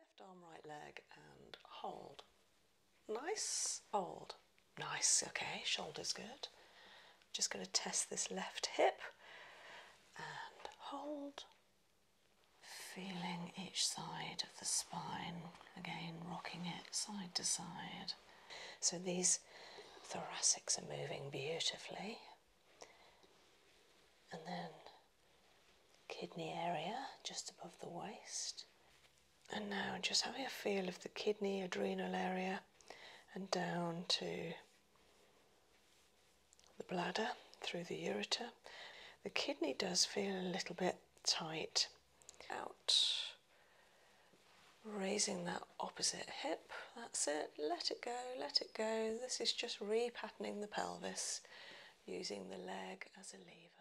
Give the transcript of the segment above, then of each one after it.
Left arm, right leg, and hold. Nice. Hold. Nice. Okay, shoulders good. Just going to test this left hip and hold. Feeling each side of the spine, again rocking it side to side. So these thoracics are moving beautifully. And then kidney area just above the waist. And now just having a feel of the kidney adrenal area and down to the bladder through the ureter. The kidney does feel a little bit tight. Out. Raising that opposite hip. That's it. Let it go, let it go. This is just repatterning the pelvis using the leg as a lever.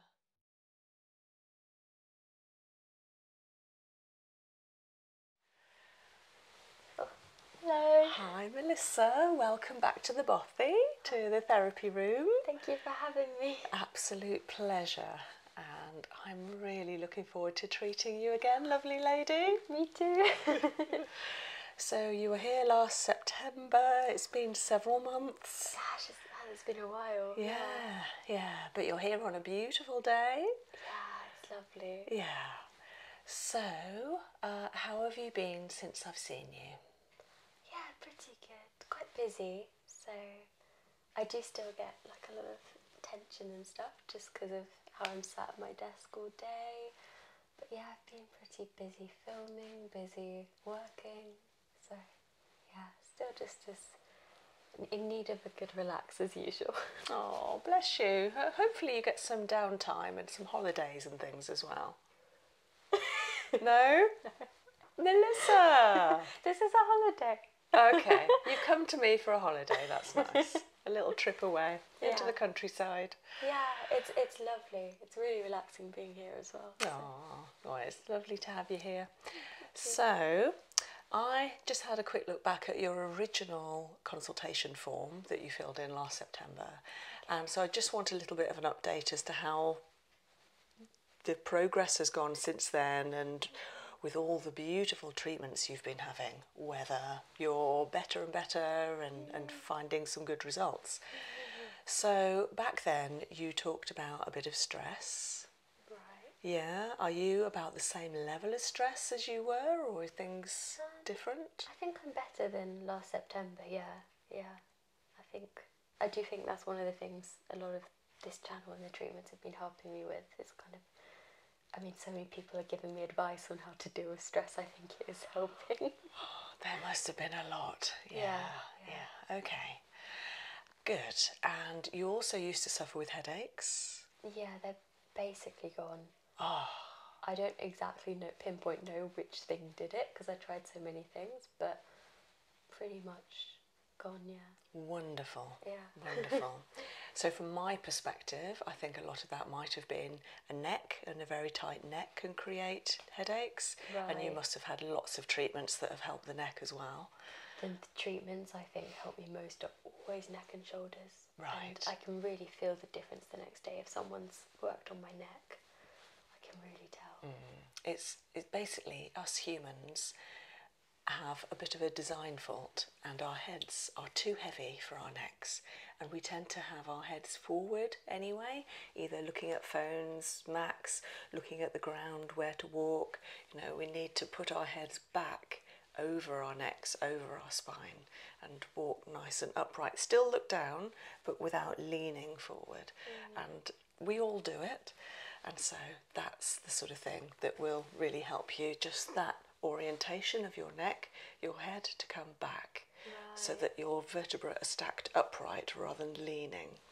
Hello. Hi Melissa, welcome back to the Bothy, to the therapy room. Thank you for having me. Absolute pleasure and I'm really looking forward to treating you again, lovely lady. Me too. so you were here last September, it's been several months months. it's been a while. Yeah, yeah, But you're here on a beautiful day. Yeah, it's lovely. Yeah. So, uh, how have you been since I've seen you? Yeah, pretty good. Quite busy. So, I do still get like a lot of tension and stuff just because of how I'm sat at my desk all day. But yeah, I've been pretty busy filming, busy working. So, yeah, still just as in need of a good relax as usual. Oh, bless you. Hopefully, you get some downtime and some holidays and things as well. no? Melissa! this is a holiday. okay, you've come to me for a holiday, that's nice. A little trip away into the countryside. Yeah, it's it's lovely. It's really relaxing being here as well. Aww. Well, it's lovely to have you here. So, I just had a quick look back at your original consultation form that you filled in last September. and so I just want a little bit of an update as to how the progress has gone since then and with all the beautiful treatments you've been having, whether you're better and better and, and finding some good results. So back then, you talked about a bit of stress. Right. Yeah. Are you about the same level of stress as you were, or are things um, different? I think I'm better than last September. Yeah. Yeah. I think I do think that's one of the things a lot of this channel and the treatments have been helping me with. It's kind of I mean, so many people are giving me advice on how to deal with stress. I think it is helping. there must have been a lot. yeah. yeah. Okay good. And you also used to suffer with headaches? Yeah, they're basically gone. Oh. I don't exactly pinpoint know which thing did it because I tried so many things, but pretty much gone, yeah. Wonderful. Yeah. Wonderful. so, from my perspective, I think a lot of that might have been a neck and a very tight neck can create headaches, and you must have had lots of treatments that have helped the neck as well. The treatments I think help me most are always neck and shoulders. Right. I can really feel the difference the next day if someone's worked on my neck. I can really tell. Mm. It's it's basically us humans have a bit of a design fault and our heads are too heavy for our necks and we tend to have our heads forward anyway either looking at phones macs looking at the ground, where to walk. You know, we need to put our heads back over our necks, over our spine, and walk nice and upright. Still look down, but without leaning forward. Mm. And we all do it. And so that's the sort of thing that will really help you just that orientation of your neck, your head to come back so that your vertebrae are stacked upright rather than leaning.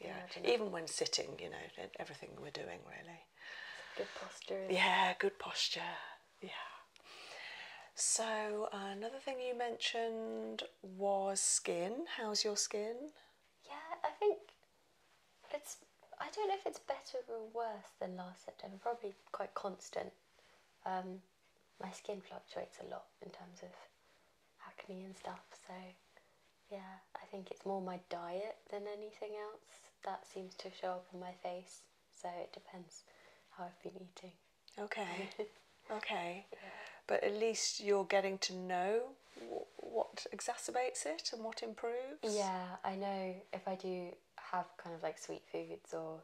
yeah. Even when sitting, you know, everything we're doing really. Good posture. Yeah, good posture. Yeah. So another thing you mentioned was skin. How's your skin? Yeah, I think it's. I don't know if it's better or worse than last September. Probably quite constant. Um, my skin fluctuates a lot in terms of acne and stuff, so yeah, I think it's more my diet than anything else that seems to show up on my face. So it depends how I've been eating. Okay. okay. But at least you're getting to know what exacerbates it and what improves. Yeah, I know if I do have kind of like sweet foods or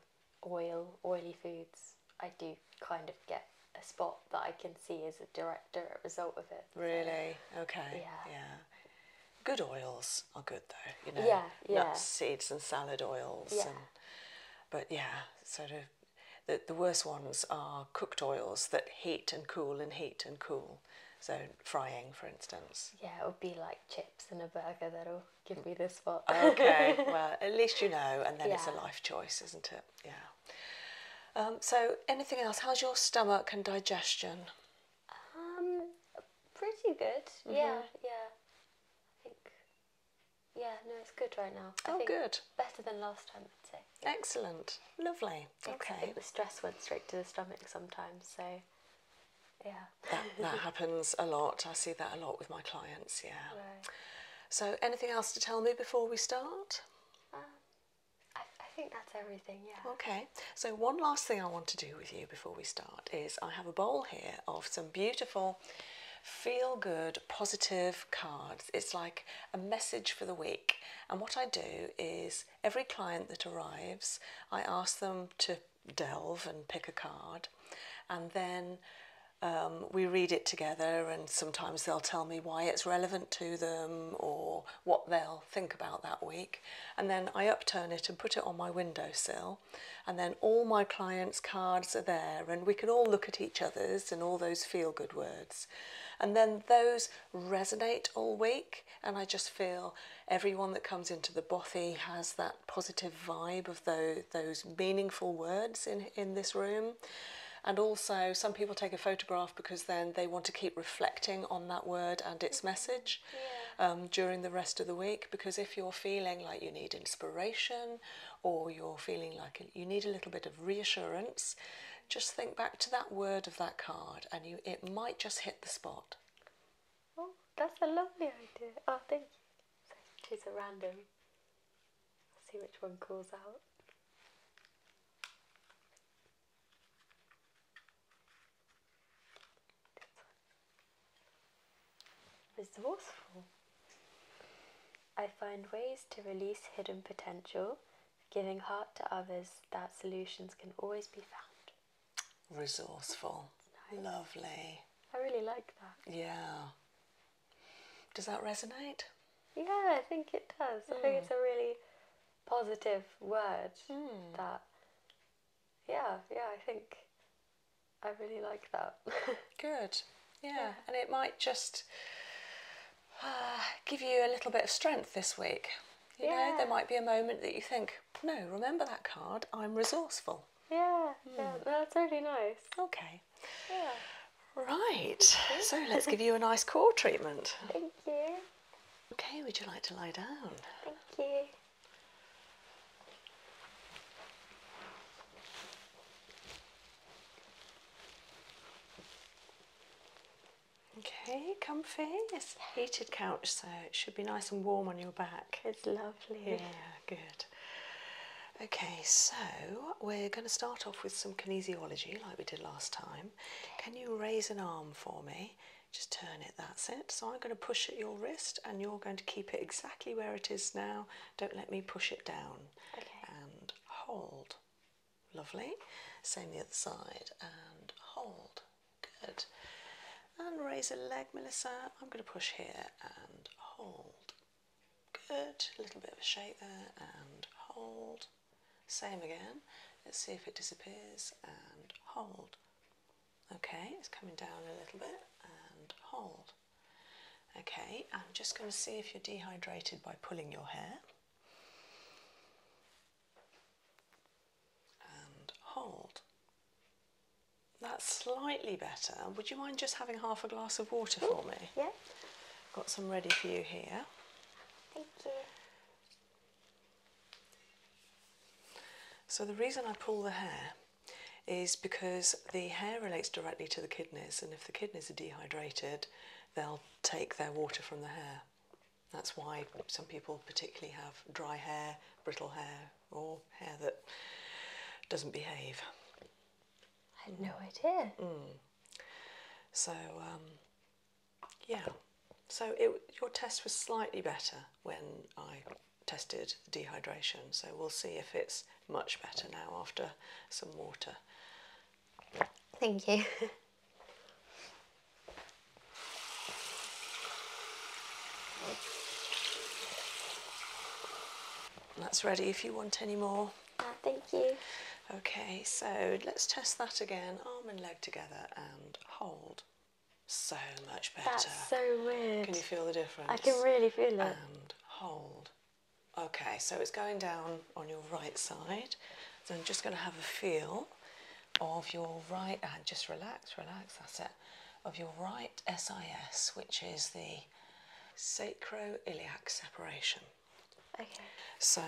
oil, oily foods, I do kind of get a spot that I can see as a direct result of it. Really? okay. Yeah. Good oils are good though, you know. Nuts, seeds, and salad oils. Yeah. And, but yeah, sort of. The, the worst ones are cooked oils that heat and cool and heat and cool. So frying, for instance. Yeah, it would be like chips and a burger that'll give me this spot. okay, well, at least you know, and then it's a life choice, isn't it? Yeah. Um, so, anything else? How's your stomach and digestion? Um, pretty good. Mm-hmm. Yeah, yeah. I think. Yeah, no, it's good right now. oh, good. Better than last time, I'd say. Excellent. Lovely. Okay. the stress went straight to the stomach sometimes, so. Yeah. that, happens a lot. I see that a lot with my clients. Yeah. So, anything else to tell me before we start? Um, I, think that's everything, yeah. Okay, so one last thing I want to do with you before we start is I have a bowl here of some beautiful feel good positive cards. It's like a message for the week. And what I do is every client that arrives, I ask them to delve and pick a card, and then um, we read it together, and sometimes they'll tell me why it's relevant to them or what they'll think about that week. And then I upturn it and put it on my windowsill. And then all my clients' cards are there, and we can all look at each other's and all those feel good words. And then those resonate all week, and I just feel everyone that comes into the bothy has that positive vibe of those, those meaningful words in, in this room. And also, some people take a photograph because then they want to keep reflecting on that word and its mm-hmm. message um, during the rest of the week. Because if you're feeling like you need inspiration or you're feeling like you need a little bit of reassurance, just think back to that word of that card and you it might just hit the spot. Oh, that's a lovely idea. Oh, thank you. Choose a random. see which one calls out. Resourceful. I find ways to release hidden potential, giving heart to others that solutions can always be found. Resourceful. Lovely. I really like that. Yeah. Does that resonate? Yeah, I think it does. I think hmm. it's a really positive words hmm. that yeah yeah i think i really like that good yeah. and it might just uh, give you a little bit of strength this week you yeah. know there might be a moment that you think no remember that card i'm resourceful yeah, hmm. yeah that's really nice okay yeah right so let's give you a nice core treatment thank you Okay, would you like to lie down? Thank you. Okay, comfy. It's heated couch, so it should be nice and warm on your back. It's lovely. Yeah, good. Okay, so we're going to start off with some kinesiology like we did last time. Can you raise an arm for me just turn it, that's it. So I'm going to push at your wrist and you're going to keep it exactly where it is now. Don't let me push it down. Okay. And hold. Lovely. Same the other side and hold. Good. And raise a leg, Melissa. I'm going to push here and hold. Good. A little bit of a shake there and hold. Same again. Let's see if it disappears and hold. Okay, it's coming down a little bit and hold. Okay, I'm just going to see if you're dehydrated by pulling your hair. And hold. That's slightly better. Would you mind just having half a glass of water for me? Yeah. Got some ready for you here. Thank you. So the reason I pull the hair is because the hair relates directly to the kidneys, and if the kidneys are dehydrated, they'll take their water from the hair. That's why some people particularly have dry hair, brittle hair, or hair that doesn't behave. I had no idea. Mm. So um, yeah, so it, your test was slightly better when I tested the dehydration, so we'll see if it's much better now after some water. Thank you. That's ready if you want any more. Uh, thank you. Okay, so let's test that again, arm and leg together and hold. So much better. That's so weird. Can you feel the difference? I can really feel it. And hold. Okay, so it's going down on your right side. So I'm just going to have a feel of your right and uh, just relax, relax, that's it. Of your right SIS, which is the sacroiliac separation. Okay. So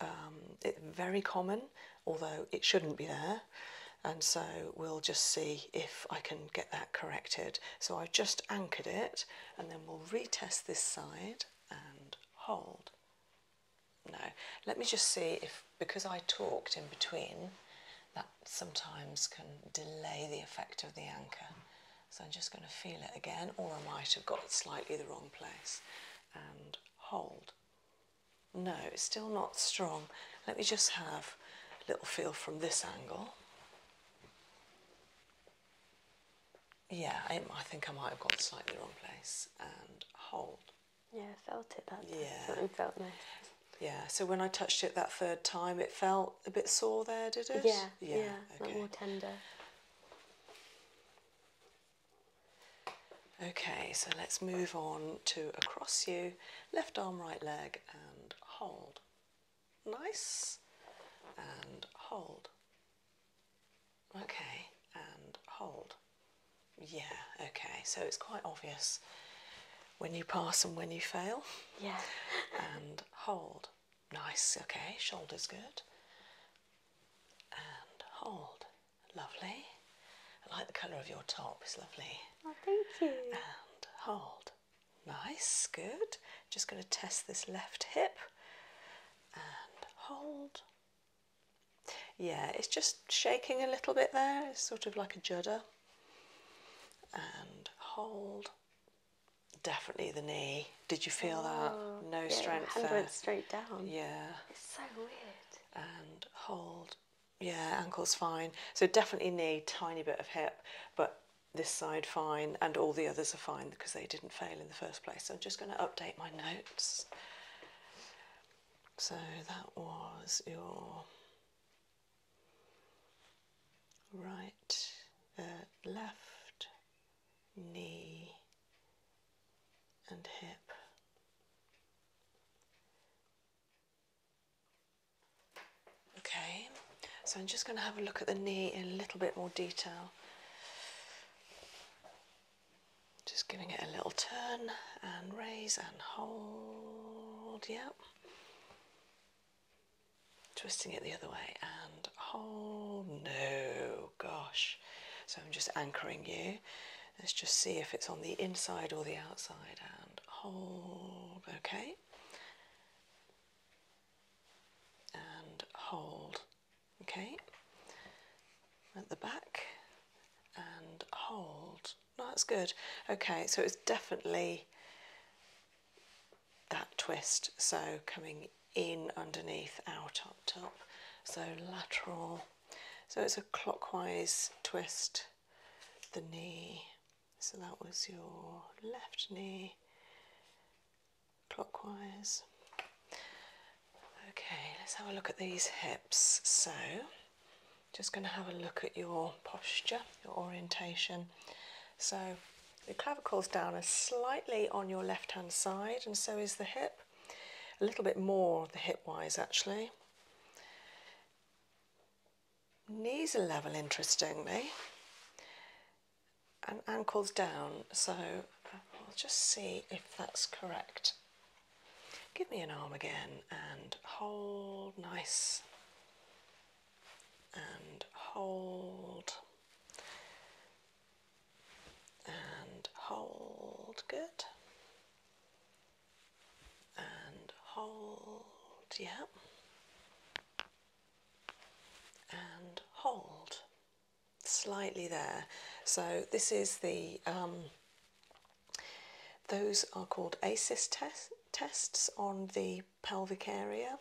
um, it's very common, although it shouldn't be there. And so we'll just see if I can get that corrected. So I've just anchored it and then we'll retest this side and hold. No, let me just see if, because I talked in between, that sometimes can delay the effect of the anchor. So I'm just going to feel it again, or I might have got it slightly the wrong place. And hold. No, it's still not strong. Let me just have a little feel from this angle. Yeah, I, think I might have gone slightly wrong place and hold. Yeah, I felt it that time. Yeah. felt nice. Yeah, so when I touched it that third time, it felt a bit sore there, did it? Yeah, yeah, yeah okay. more tender. Okay, so let's move on to across you, left arm, right leg, and hold. Nice, and hold. Okay, and hold. Yeah, okay, so it's quite obvious when you pass and when you fail. Yeah. and hold. Nice, okay, shoulders good. And hold. Lovely. I like the colour of your top, it's lovely. Oh, thank you. And hold. Nice, good. Just going to test this left hip and hold. Yeah, it's just shaking a little bit there, it's sort of like a judder. And hold. Definitely the knee. Did you feel that? Oh, no yeah, strength hand there. went straight down. Yeah. It's so weird. And hold. Yeah, ankle's fine. So definitely knee, tiny bit of hip, but this side fine, and all the others are fine because they didn't fail in the first place. So I'm just going to update my notes. So that was your right, uh, left, knee, and hip. Okay, so I'm just going to have a look at the knee in a little bit more detail. Just giving it a little turn and raise and hold. Yep. Twisting it the other way and hold. No, gosh. So I'm just anchoring you. Let's just see if it's on the inside or the outside and hold, okay? And hold, okay? At the back and hold. No, that's good. Okay, so it's definitely that twist. So coming in underneath, out up top. So lateral so it's a clockwise twist, the knee. So that was your left knee, clockwise. Okay, let's have a look at these hips. So, just going to have a look at your posture, your orientation. So, the clavicle's down are slightly on your left hand side, and so is the hip. A little bit more the hip wise, actually. Knees are level, interestingly, and ankles down. So I'll just see if that's correct. Give me an arm again and hold nice and hold and hold good and hold, yeah, and hold slightly there. So this is the, um, those are called asis tests on the pelvic area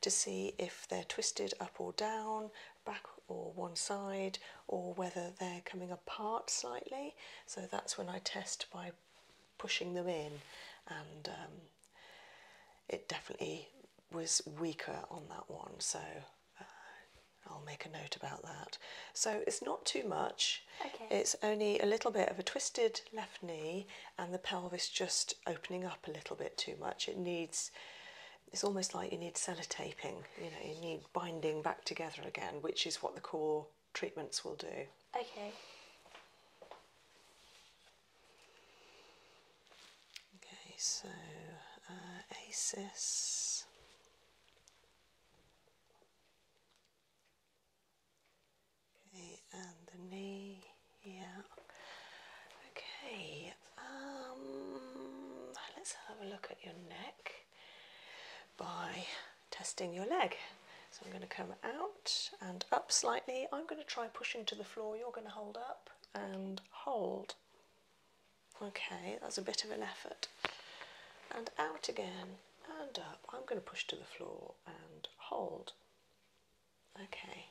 to see if they're twisted up or down, back or one side, or whether they're coming apart slightly. So that's when I test by pushing them in, and um, it definitely was weaker on that one. So uh, I'll make a note about that. So it's not too much. Okay. It's only a little bit of a twisted left knee and the pelvis just opening up a little bit too much. It needs it's almost like you need sellotaping, you know, you need binding back together again, which is what the core treatments will do. Okay. Okay, so uh, ACES. Okay, and the knee, yeah. Okay, um, let's have a look at your neck by testing your leg. So I'm going to come out and up slightly. I'm going to try pushing to the floor. You're going to hold up and hold. Okay, that's a bit of an effort. And out again and up. I'm going to push to the floor and hold. Okay.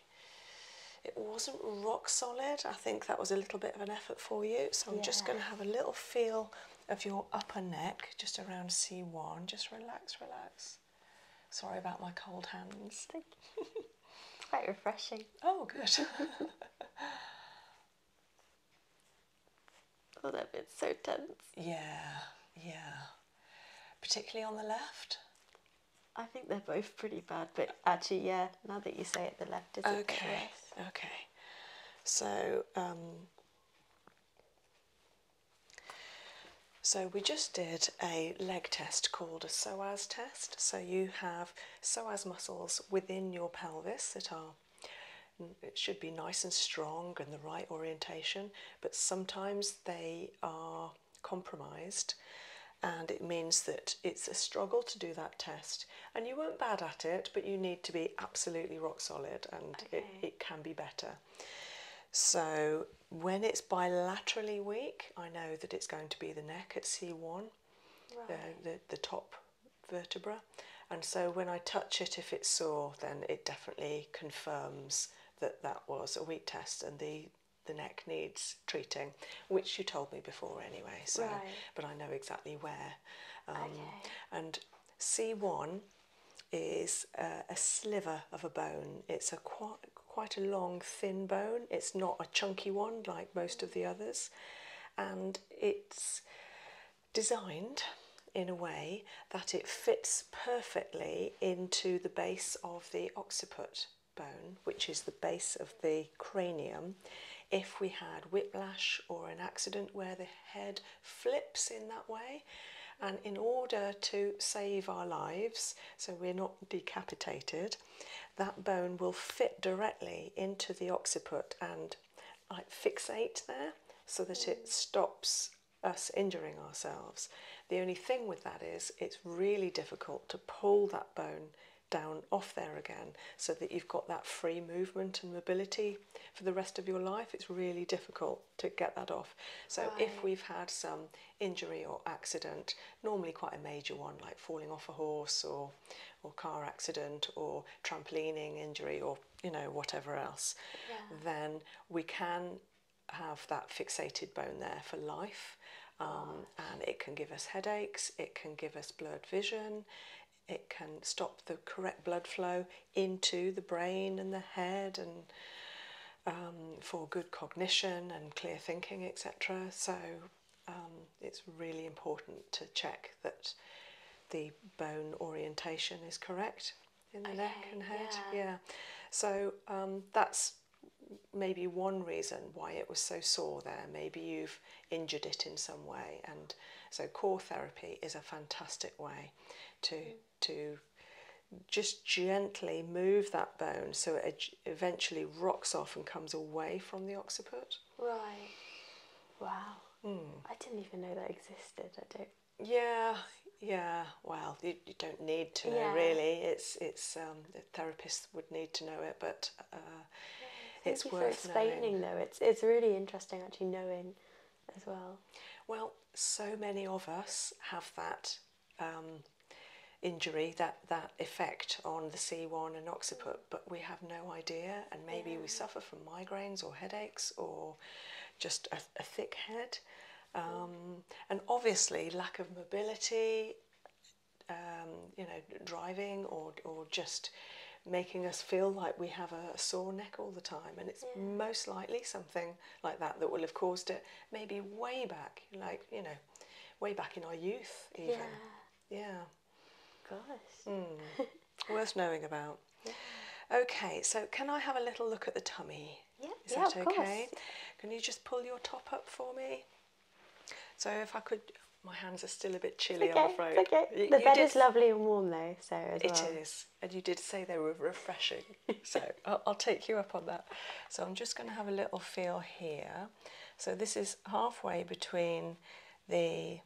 It wasn't rock solid. I think that was a little bit of an effort for you. So I'm just going to have a little feel of your upper neck, just around C1. Just relax, relax. Sorry about my cold hands. quite refreshing. Oh, good. oh, that bit's so tense. Yeah, yeah. Particularly on the left? I think they're both pretty bad, but actually, yeah, now that you say it, the left is okay. Okay, okay. So, um, so we just did a leg test called a psoas test. So you have psoas muscles within your pelvis that are it should be nice and strong and the right orientation, but sometimes they are compromised and it means that it's a struggle to do that test and you weren't bad at it but you need to be absolutely rock solid and it, it can be better. So when it's bilaterally weak, I know that it's going to be the neck at C1, the, the, top vertebra. And so when I touch it, if it's sore, then it definitely confirms that that was a weak test and the, the neck needs treating, which you told me before anyway. So, but I know exactly where. Um, okay. And C1 is a sliver of a bone. It's a quite quite a long thin bone. It's not a chunky one like most of the others, and it's designed in a way that it fits perfectly into the base of the occiput bone, which is the base of the cranium. If we had whiplash or an accident where the head flips in that way. And in order to save our lives, so we're not decapitated, that bone will fit directly into the occiput and like, fixate there so that it mm. stops us injuring ourselves. The only thing with that is it's really difficult to pull that bone down off there again so that you've got that free movement and mobility for the rest of your life. It's really difficult to get that off. So if we've had some injury or accident, normally quite a major one like falling off a horse or or car accident or trampolining injury or you know whatever else, then we can have that fixated bone there for life. Um, and it can give us headaches, it can give us blurred vision, it can stop the correct blood flow, into the brain and the head and um, for good cognition and clear thinking, etc. So um, it's really important to check that the bone orientation is correct in the neck and head. Yeah. So um, that's maybe one reason why it was so sore there. Maybe you've injured it in some way. And so, core therapy is a fantastic way to mm to just gently move that bone so it eventually rocks off and comes away from the occiput. Right. Wow. Hmm. I didn't even know that existed. I don't. Yeah. Yeah. Well, you, you don't need to know really. It's it's um, therapists would need to know it, but uh, it's worth for explaining though. It's it's really interesting actually knowing as well? Well, so many of us have that um, injury, that, that effect on the C1 and occiput, but we have no idea, and maybe we suffer from migraines or headaches or just a, thick head. Um, and obviously, lack of mobility, um, you know, driving or, or just making us feel like we have a sore neck all the time, and it's most likely something like that that will have caused it maybe way back like you know way back in our youth even yeah, yeah. gosh mm. worth knowing about okay so can i have a little look at the tummy yeah is that okay can you just pull your top up for me so if i could my hands are still a bit chilly, okay, I'm afraid. Okay. The bed is lovely and warm though, so It is and you did say they were refreshing, so I'll, take you up on that. So I'm just going to have a little feel here. So this is halfway between the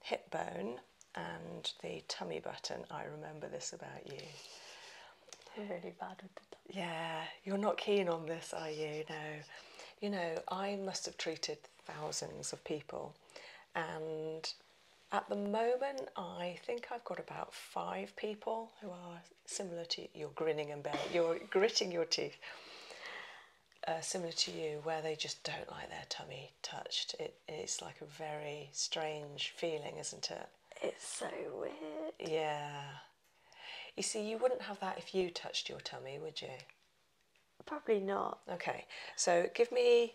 hip bone and the tummy button. I remember this about you. really bad with the Yeah, you're not keen on this, are you? No. You know, I must have treated thousands of people, and at the moment, I think I've got about five people who are similar to you. grinning and bearing, you're gritting your teeth. Uh, similar to you, where they just don't like their tummy touched. it's like a very strange feeling, isn't it? It's so weird. Yeah. You see, you wouldn't have that if you touched your tummy, would you? Probably not. Okay, so give me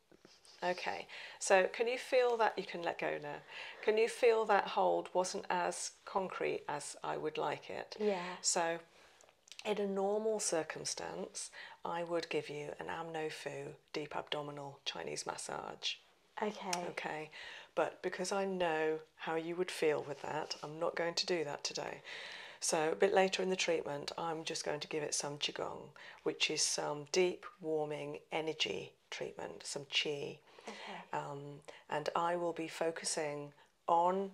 Okay, so can you feel that? You can let go now. Can you feel that hold wasn't as concrete as I would like it? Yeah. So, in a normal circumstance, I would give you an amnofu deep abdominal Chinese massage. Okay. Okay, but because I know how you would feel with that, I'm not going to do that today. So, a bit later in the treatment, I'm just going to give it some Qigong, which is some deep, warming energy treatment, some chi, um, and I will be focusing on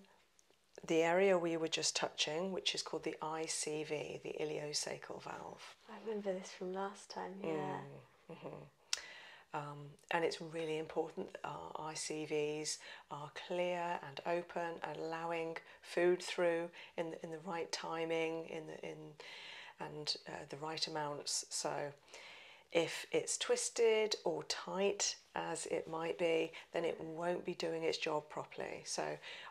the area we were just touching, which is called the ICV, the iliocecal valve. I remember this from last time, yeah. Mm, mm-hmm. um, and it's really important that our ICVs are clear and open, allowing food through in the, in the right timing, in the in and uh, the right amounts. So if it's twisted or tight as it might be, then it won't be doing its job properly. So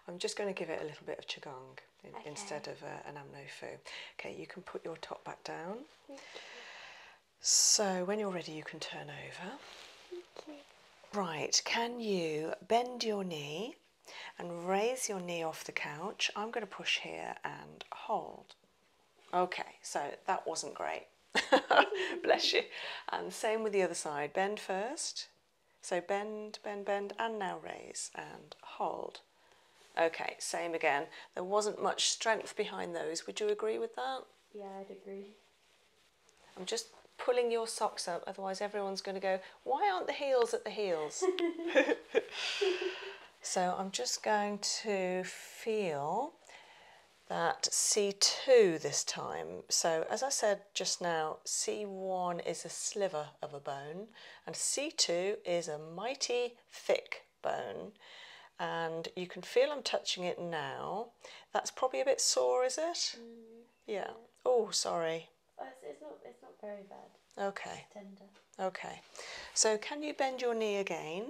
I'm just going to give it a little bit of Qigong instead of uh, an Amnofu. Okay, you can put your top back down. So when you're ready, you can turn over. Right, can you bend your knee and raise your knee off the couch. I'm going to push here and hold. Okay, so that wasn't great. Bless you. And same with the other side. Bend first. So bend, bend, bend, and now raise and hold. Okay, same again. There wasn't much strength behind those. Would you agree with that? Yeah, I'd agree. I'm just pulling your socks up, otherwise everyone's going to go, why aren't the heels at the heels? So I'm just going to feel that C2 this time. So as I said just now, C1 is a sliver of a bone and C2 is a mighty thick bone. And you can feel I'm touching it now. That's probably a bit sore, is it? Mm. Yeah. Oh, sorry it's, not. It's not very bad. Okay. tender. Okay. So can you bend your knee again,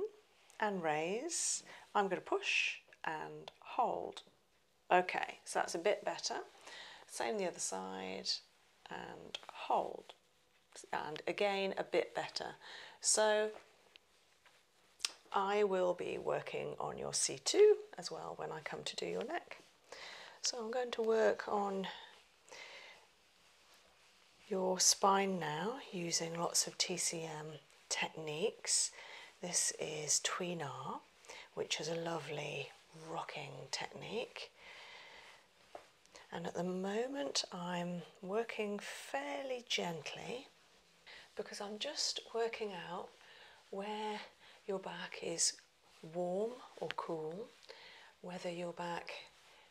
and raise? I'm going to push and hold. Okay. So that's a bit better. Same the other side, and hold, and again a bit better. So. I will be working on your C2 as well when I come to do your neck. So I'm going to work on your spine now using lots of TCM techniques. This is Tweenar, which is a lovely rocking technique. And at the moment, I'm working fairly gently because I'm just working out where your back is warm or cool whether your back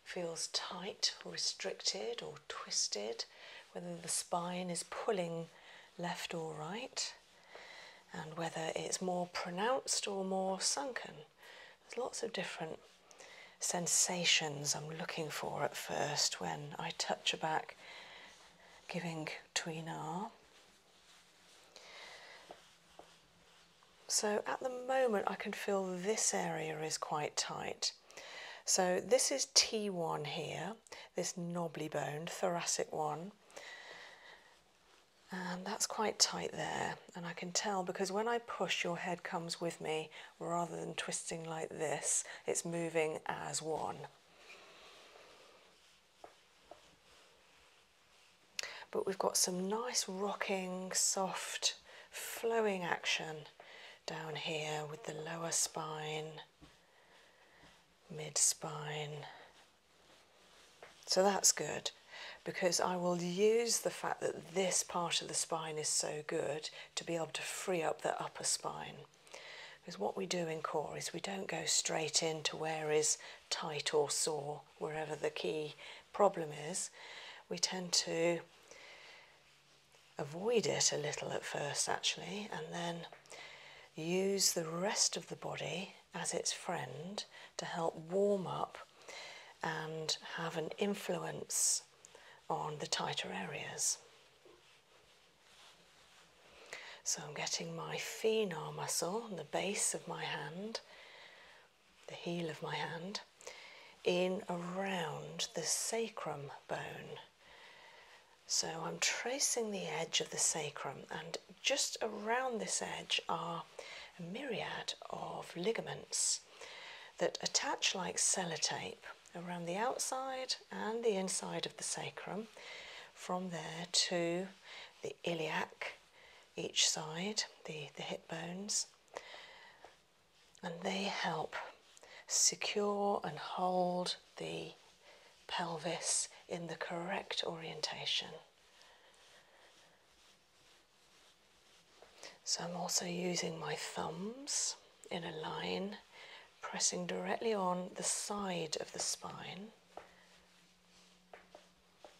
feels tight or restricted or twisted, whether the spine is pulling left or right, and whether it's more pronounced or more sunken. There's lots of different sensations I'm looking for at first when I touch a back, giving tween R. So at the moment, I can feel this area is quite tight. So this is T1 here, this knobbly boned thoracic one. And that's quite tight there. And I can tell because when I push, your head comes with me rather than twisting like this, it's moving as one but we've got some nice rocking, soft, flowing action down here with the lower spine, mid spine. So that's good because I will use the fact that this part of the spine is so good to be able to free up the upper spine. Because what we do in core is we don't go straight into where is tight or sore wherever the key problem is, we tend to avoid it a little at first, actually, and then use the rest of the body as its friend to help warm up and have an influence on the tighter areas. So I'm getting my phenar muscle, on the base of my hand, the heel of my hand, in around the sacrum bone. So I'm tracing the edge of the sacrum, and just around this edge are a myriad of ligaments that attach like sellotape around the outside and the inside of the sacrum, from there to the iliac, each side, the, the hip bones, and they help secure and hold the pelvis in the correct orientation. So I'm also using my thumbs in a line, pressing directly on the side of the spine.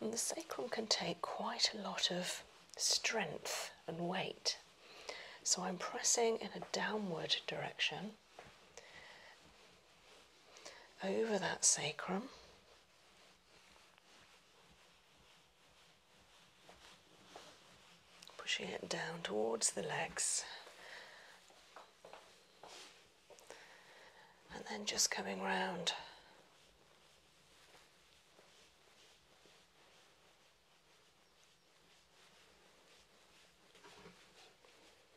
And the sacrum can take quite a lot of strength and weight. So I'm pressing in a downward direction over that sacrum. Pushing it down towards the legs. And then just coming round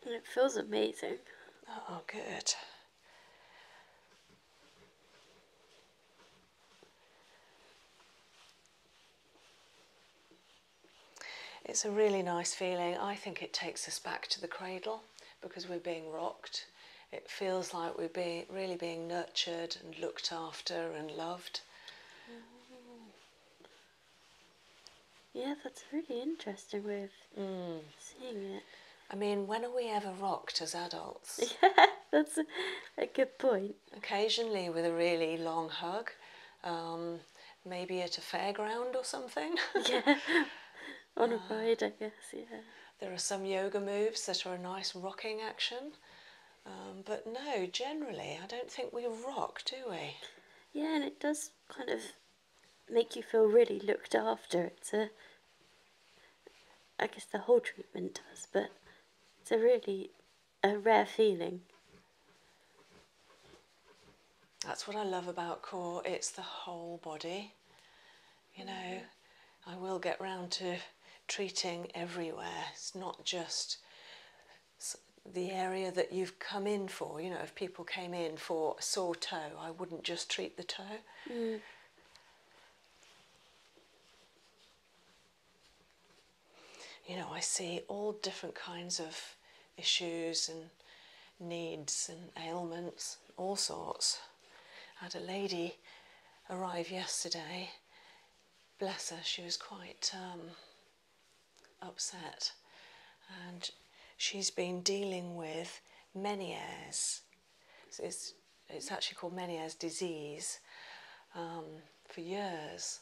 it feels amazing. Oh, good. It's a really nice feeling. I think it takes us back to the cradle because we're being rocked. It feels like we're being really being nurtured and looked after and loved. Mm-hmm. Yeah, that's really interesting way mm. seeing it. I mean, when are we ever rocked as adults? Yeah, that's a, good point. Occasionally, with a really long hug, um, maybe at a fairground or something. yeah on a ride, I guess. Yeah. There are some yoga moves that are a nice rocking action, um, but no, generally, I don't think we rock, do we? Yeah, and it does kind of make you feel really looked after. It's a, I guess the whole treatment does, but it's a really a rare feeling. That's what I love about core. It's the whole body you know, I will get round to treating everywhere. It's not just the area that you've come in for. You know, if people came in for a sore toe, I wouldn't just treat the toe. Mm. You know, I see all different kinds of issues and needs and ailments, all sorts. I had a lady arrive yesterday. Bless her, she was quite um, upset. And she's been dealing with Meniere's. it's, actually called Meniere's disease um, for years.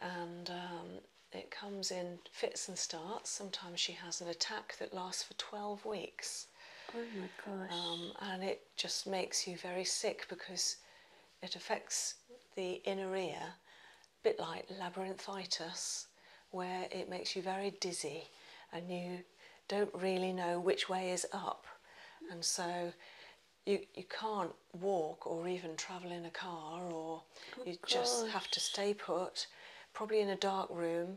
And um, it comes in fits and starts. Sometimes she has an attack that lasts for 12 weeks. Oh um, and it just makes you very sick because it affects the inner ear, a bit like labyrinthitis, where it makes you very dizzy and you don't really know which way is up. And so you, you can't walk or even travel in a car, or oh you just have to stay put, probably in a dark room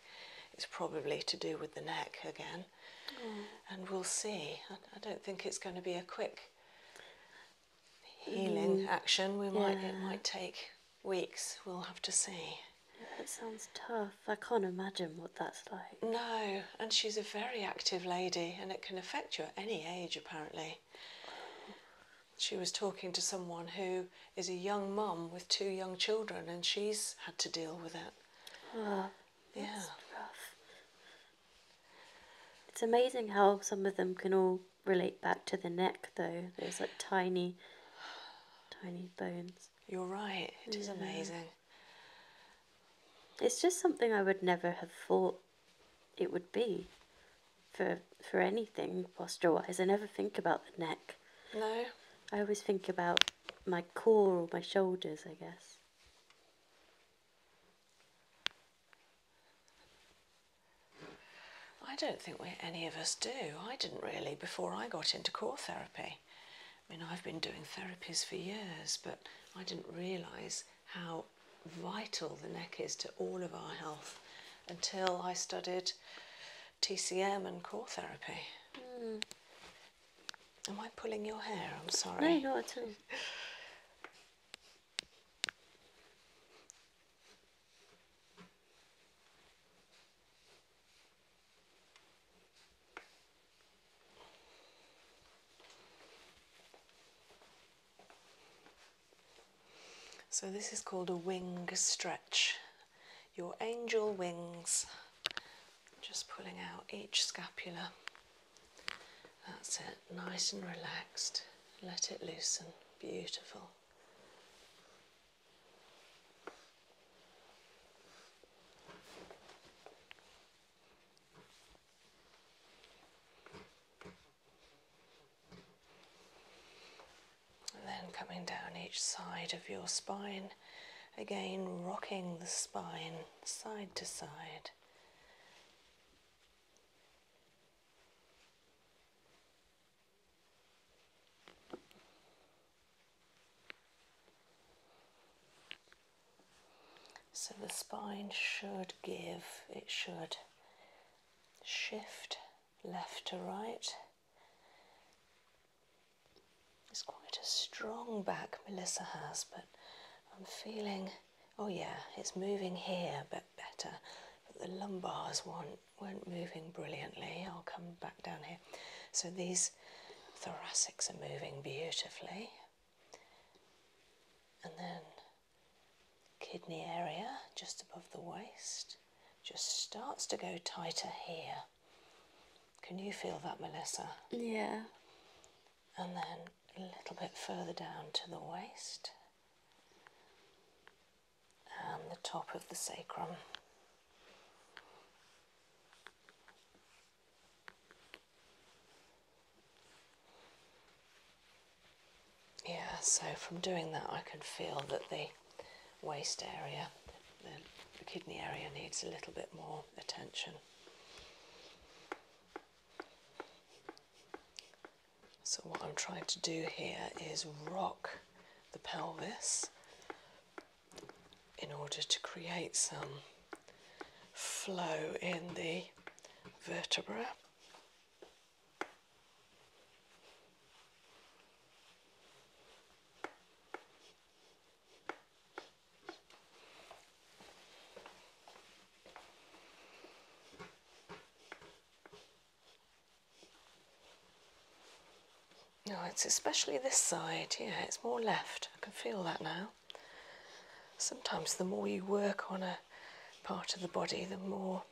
It's probably to do with the neck again. Mm. And we'll see. I, don't think it's going to be a quick healing mm. action. We might it might take weeks. We'll have to see. That sounds tough. I can't imagine what that's like. No, and she's a very active lady, and it can affect you at any age, apparently. She was talking to someone who is a young mum with two young children, and she's had to deal with it. Ah, yeah. It's amazing how some of them can all relate back to the neck, though. There's like tiny, tiny bones. You're right. It is amazing. It's just something I would never have thought it would be for for anything posture wise. I never think about the neck. No. I always think about my core my shoulders, I guess. I don't think we, any of us do. I didn't really before I got into core therapy. I mean, I've been doing therapies for years, but I didn't realise how vital the neck is to all of our health until I studied TCM and core therapy. Hmm. Am I pulling your hair? I'm sorry. No, not at all. So, this is called a wing stretch, your angel wings, just pulling out each scapula. That's it, nice and relaxed. Let it loosen. Beautiful. And then coming down each side of your spine, Again, rocking the spine side to side. So the spine should give, it should shift left to right. It's quite a strong back Melissa has, but I'm feeling, oh yeah, it's moving here a bit better, but the lumbars weren't moving brilliantly. I'll come back down here. So these thoracics are moving beautifully. And then kidney area just above the waist just starts to go tighter here. Can you feel that, Melissa? Yeah. And then a little bit further down to the waist and the top of the sacrum. Yeah, so from doing that, I can feel that the waist area. The, the kidney area needs a little bit more attention. So, what I'm trying to do here is rock the pelvis in order to create some flow in the vertebra. No, it's especially this side, yeah, it's more left. I can feel that now. Sometimes the more you work on a part of the body, the more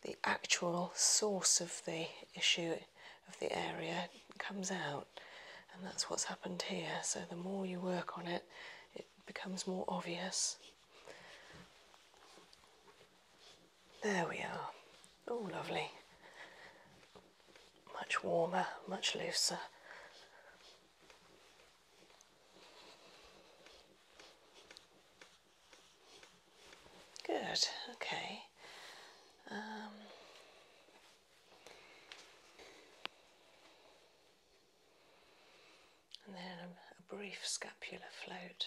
the actual source of the issue of the area comes out, and that's what's happened here. So, the more you work on it, it becomes more obvious. There we are. Oh, lovely. Much warmer, much looser. Good, okay. Um, and then a brief scapular float.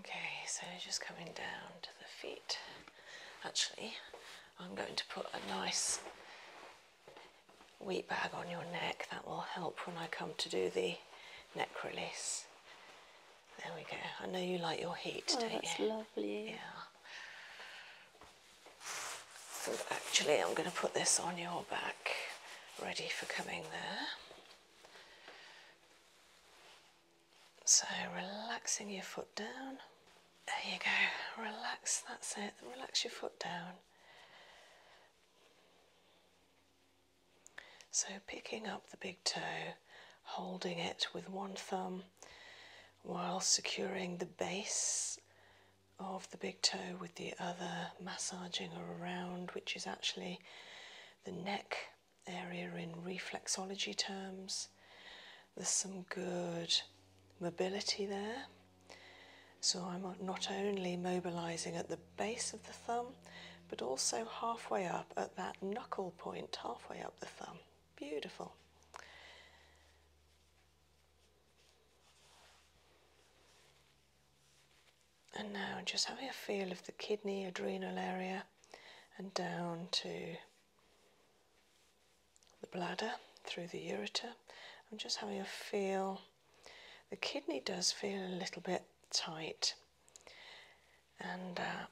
Okay, so just coming down to the feet. Actually, I'm going to put a nice wheat bag on your neck. That will help when I come to do the neck release. There we go. I know you like your heat, oh, don't that's you? lovely. Yeah. And actually, I'm going to put this on your back ready for coming there. So relaxing your foot down. There you go, relax, that's it, relax your foot down. So picking up the big toe, holding it with one thumb while securing the base of the big toe with the other, massaging around, which is actually the neck area in reflexology terms. There's some good mobility there. So I'm not only mobilizing at the base of the thumb, but also halfway up at that knuckle point, halfway up the thumb. Beautiful. And now just having a feel of the kidney, adrenal area, and down to the bladder through the ureter. I'm just having a feel. The kidney does feel a little bit tight, and uh,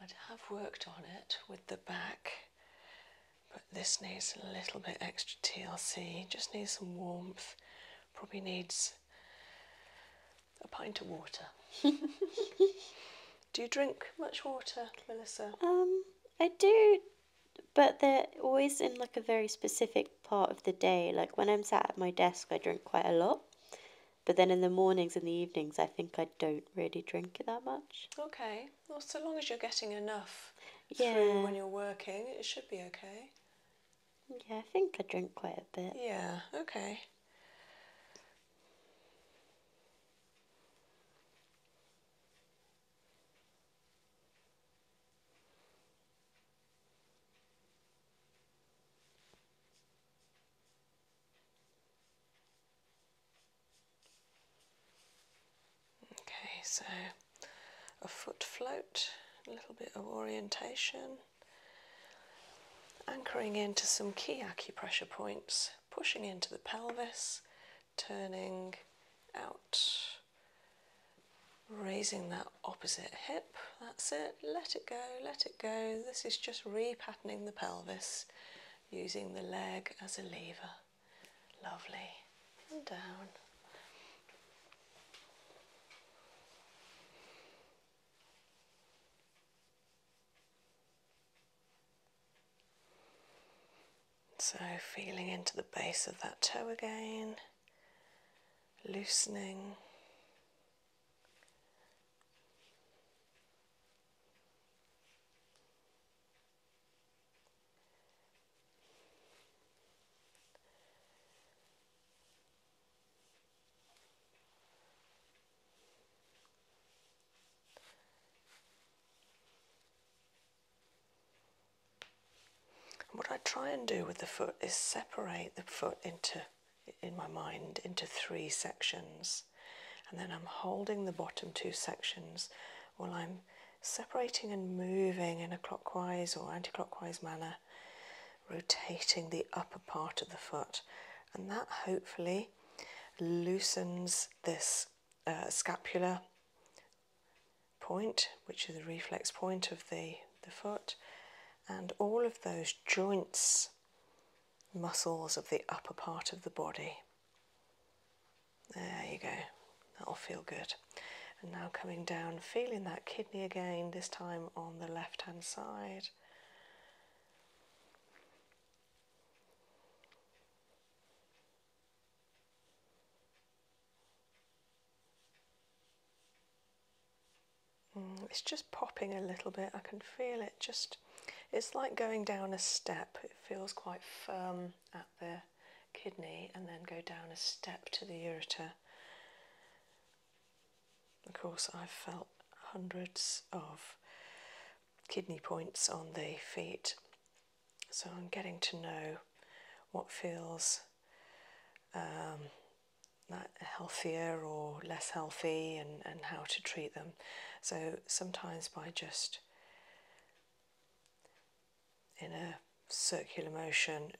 I'd have worked on it with the back but this needs a little bit extra TLC, just needs some warmth, probably needs a pint of water. do you drink much water, Melissa? Um, I do, but they're always in like a very specific part of the day. Like when I'm sat at my desk, I drink quite a lot. But then in the mornings and the evenings, I think I don't really drink that much. Okay. Well, so long as you're getting enough through when you're working, it should be okay. Yeah, I think I drink quite a bit. Yeah, okay. Okay, so a foot float, a little bit of orientation, anchoring into some key acupressure points, pushing into the pelvis, turning out, raising that opposite hip. That's it, let it go, let it go. This is just repatterning the pelvis using the leg as a lever. Lovely. And down. So, feeling into the base of that toe again, loosening. What I try and do with the foot is separate the foot into, in my mind, into three sections, and then I'm holding the bottom two sections while I'm separating and moving in a clockwise or anti clockwise manner, rotating the upper part of the foot, and that hopefully loosens this uh, scapular point, which is a reflex point of the, the foot, and all of those joints, muscles of the upper part of the body. There you go. That'll feel good. And now coming down, feeling that kidney again, this time on the left hand side. Mm, it's just popping a little bit. I can feel it just, it's like going down a step. It feels quite firm at there kidney and then go down a step to the ureter. Of course, I've felt hundreds of kidney points on the feet, so I'm getting to know what feels um, healthier or less healthy and, and how to treat them. So sometimes by just in a circular motion,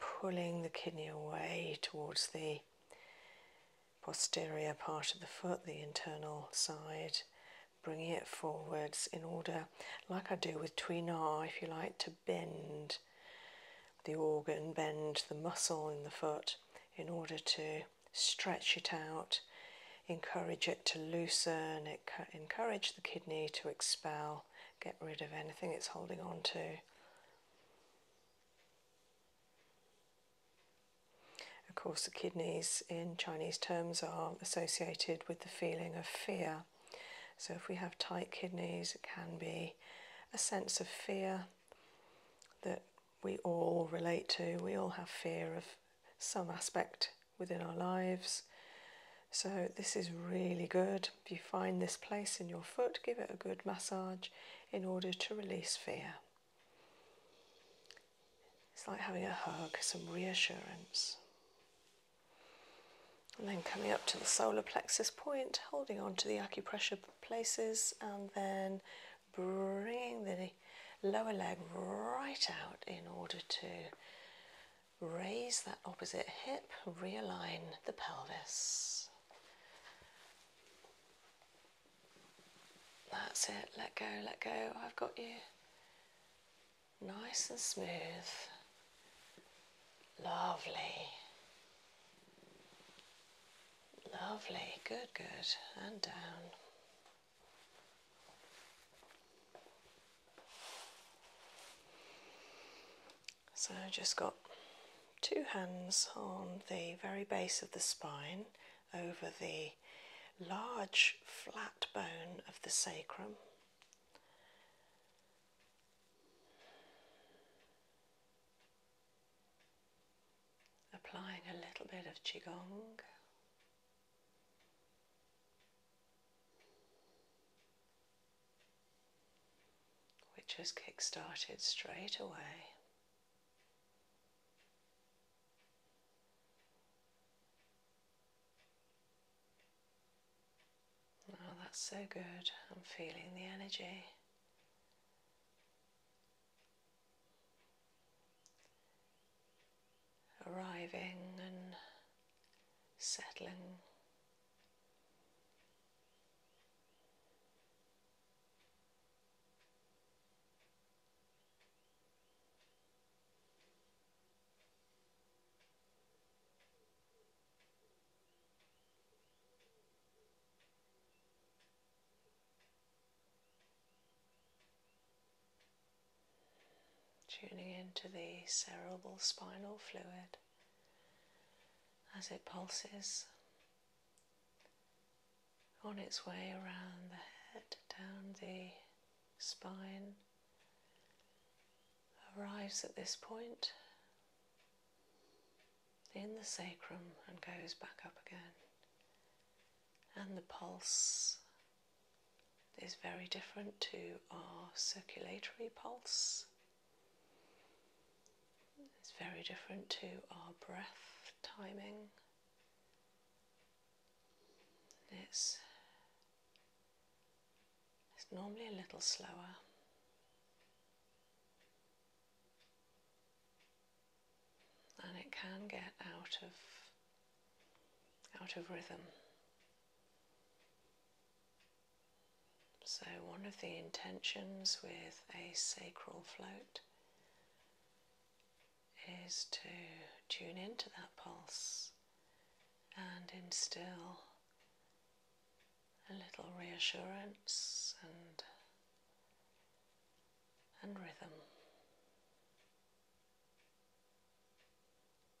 pulling the kidney away towards the posterior part of the foot, the internal side, bringing it forwards in order, like I do with tweenar, if you like, to bend the organ, bend the muscle in the foot in order to stretch it out, encourage it to loosen, encourage the kidney to expel get rid of anything it's holding on to. Of course, the kidneys in Chinese terms are associated with the feeling of fear. So, if we have tight kidneys, it can be a sense of fear that we all relate to. We all have fear of some aspect within our lives. So, this is really good. If you find this place in your foot, give it a good massage in order to release fear. It's like having a hug, some reassurance. And then coming up to the solar plexus point, holding on to the acupressure places, and then bringing the lower leg right out in order to Raise that opposite hip, realign the pelvis. That's it, let go, let go, I've got you. Nice and smooth. Lovely. Lovely, good, good, and down. So I've just got two hands on the very base of the spine over the large flat bone of the sacrum. Applying a little bit of Qigong which has kick started straight away. Oh, that's so good. I'm feeling the energy. Arriving and settling Tuning into the cerebral spinal fluid as it pulses on its way around the head, down the spine, arrives at this point in the sacrum and goes back up again. And the pulse is very different to our circulatory pulse, it's very different to our breath timing. It's, it's normally a little slower. And it can get out of out of rhythm. So, one of the intentions with a sacral float is to tune into that pulse and instill a little reassurance and and rhythm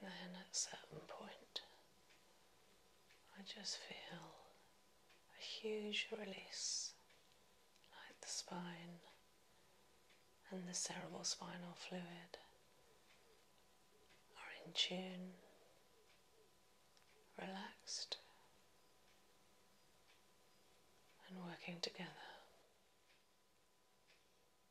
then at a certain point, I just feel a huge release like the spine and the cerebrospinal fluid are in tune, relaxed, and working together.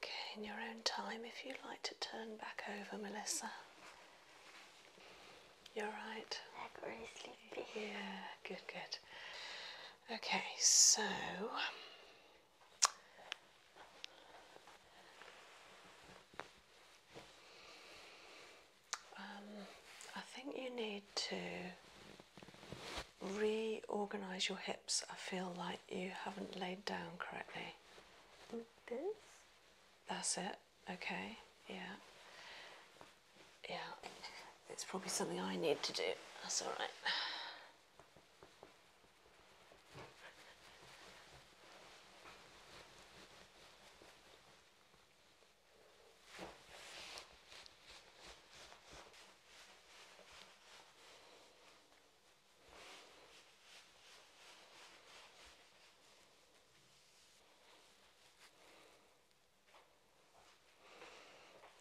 Okay, in your own time, if you'd like to turn back over, Melissa. You're right. Yeah, good, good. Okay, so um, I think you need to reorganize your hips. I feel like you haven't laid down correctly. this? That's it. Okay. Yeah. Yeah. It's probably something I need to do. That's all right.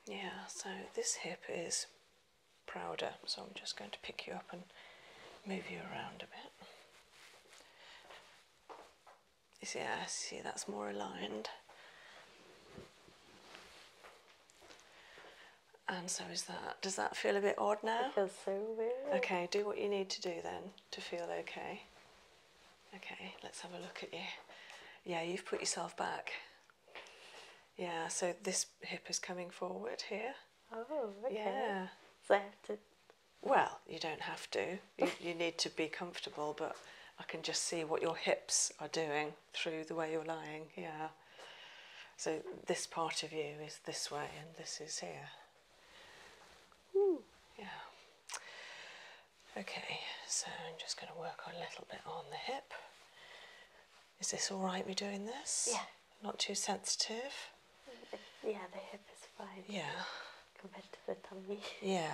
Yeah, so this hip is prouder, so I'm just going to pick you up and move you around a bit. You see that's more aligned. And so is that. Does that feel a bit odd now? It feels so weird. Okay, do what you need to do then to feel okay. Okay, let's have a look at you. Yeah, you've put yourself back. Yeah, so this hip is coming forward here. Oh, Yeah. Well, you don't have to. You, you need to be comfortable, but I can just see what your hips are doing through the way you're lying, yeah. So this part of you is this way and this is here. Yeah. Okay, so I'm just going to work a little bit on the hip. Is this all right, me doing this? Yeah. Not too sensitive? Yeah, the hip is fine. Yeah. Compared to the tummy. Yeah.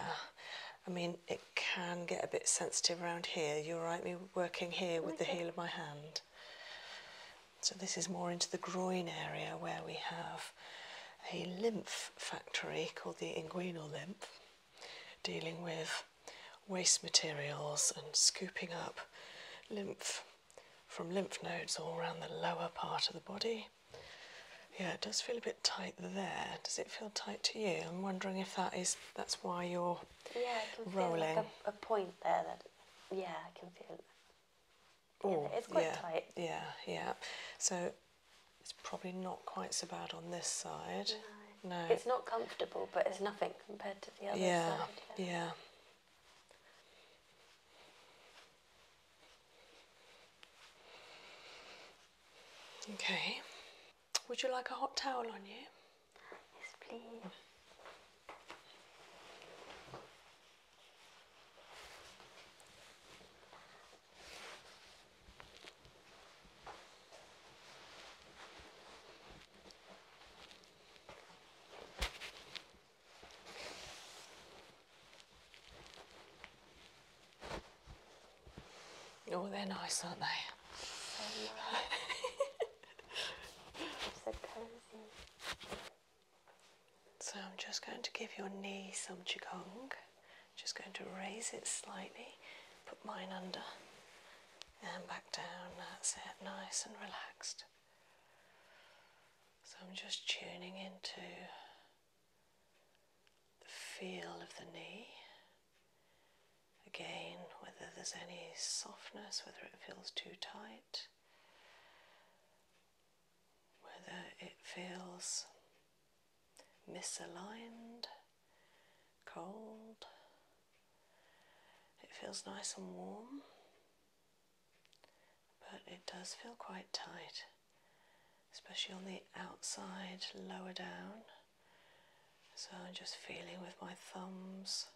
I mean, it can get a bit sensitive around here. You right me working here with the heel of my hand. So, this is more into the groin area where we have a lymph factory called the inguinal lymph, dealing with waste materials and scooping up lymph from lymph nodes all around the lower part of the body. Yeah, it does feel a bit tight there. Does it feel tight to you? I'm wondering if that is that's why you're yeah, I can feel like a, a, point there that, yeah, I can feel yeah, Ooh, yeah, Yeah, yeah. So it's probably not quite so bad on this side. No. It's not comfortable, but it's nothing compared to the other yeah, side. Yeah, yeah. Okay. Would you like a hot towel on you? Yes, please. Oh, they're nice, aren't they? so I'm just going to give your knee some qigong. Just going to raise it slightly, put mine under, and back down. That's it, nice and relaxed. So I'm just tuning into the feel of the knee. Again, whether there's any softness, whether it feels too tight, whether it feels misaligned, cold. It feels nice and warm, but it does feel quite tight, especially on the outside, lower down. So I'm just feeling with my thumbs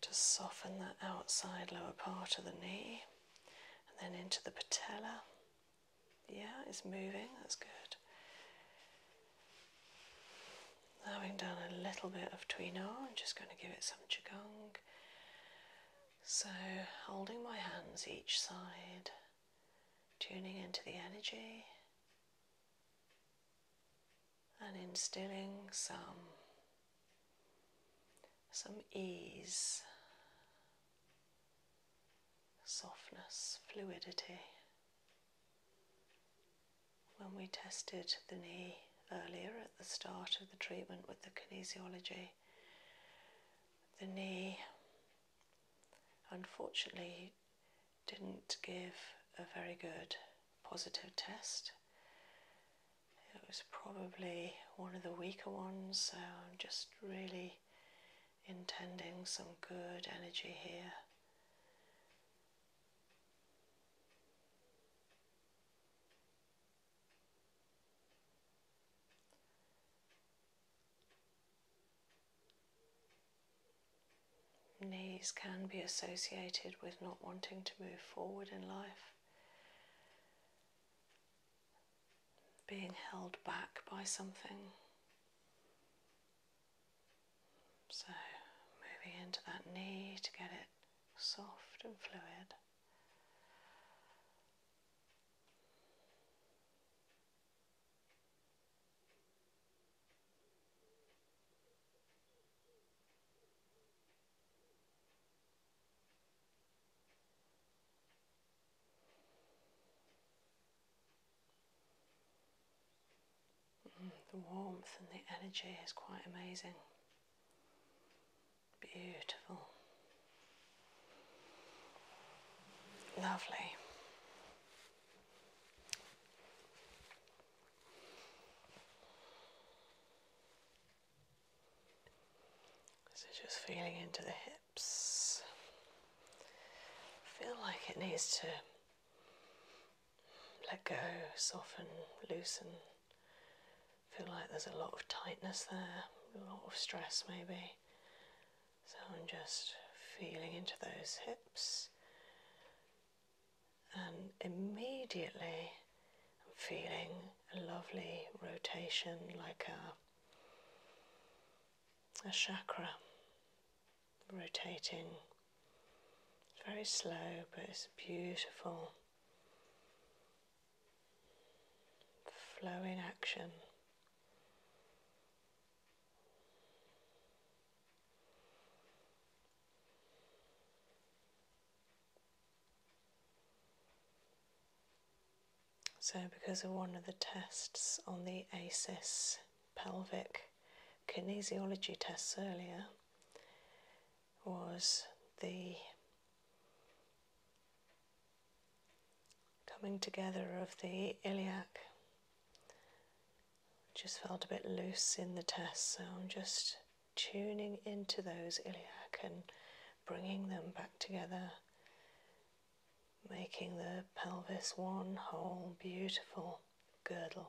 to soften the outside lower part of the knee and then into the patella. Yeah, it's moving, that's good. Having done a little bit of tweener, I'm just going to give it some chigong. So, holding my hands each side, tuning into the energy, and instilling some some ease, softness, fluidity. When we tested the knee earlier at the start of the treatment with the kinesiology, the knee unfortunately didn't give a very good positive test. It was probably one of the weaker ones, so I'm just really intending some good energy here. Knees can be associated with not wanting to move forward in life, being held back by something. So, moving into that knee to get it soft and fluid the warmth and the energy is quite amazing. Beautiful. Lovely. So just feeling into the hips. Feel like it needs to let go, soften, loosen. Feel like there's a lot of tightness there, a lot of stress maybe. So I'm just feeling into those hips and immediately I'm feeling a lovely rotation like a, a chakra rotating. very slow but it's beautiful flowing action. So, because of one of the tests on the ASIS pelvic kinesiology tests earlier, was the coming together of the iliac just felt a bit loose in the test, so I'm just tuning into those iliac and bringing them back together, making the pelvis one whole beautiful girdle.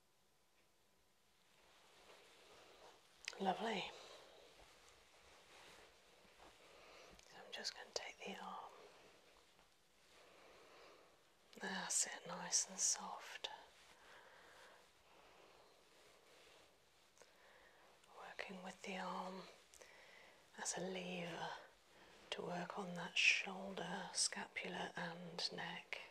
Lovely. I'm just going to take the arm. That's ah, it, nice and soft. Working with the arm as a lever to work on that shoulder, scapula, and neck.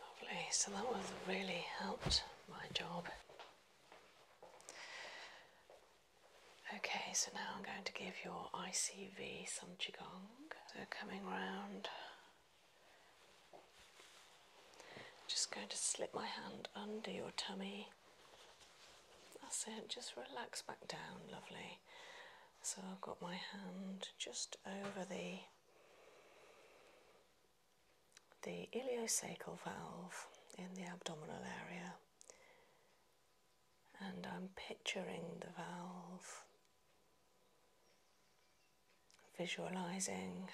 Lovely, so that was really helped my job. Okay, so now I'm going to give your ICV some Qigong. So coming round, just going to slip my hand under your tummy. That's it, just relax back down, lovely. So I've got my hand just over the the ileocecal valve in the abdominal area, and I'm picturing the valve, visualizing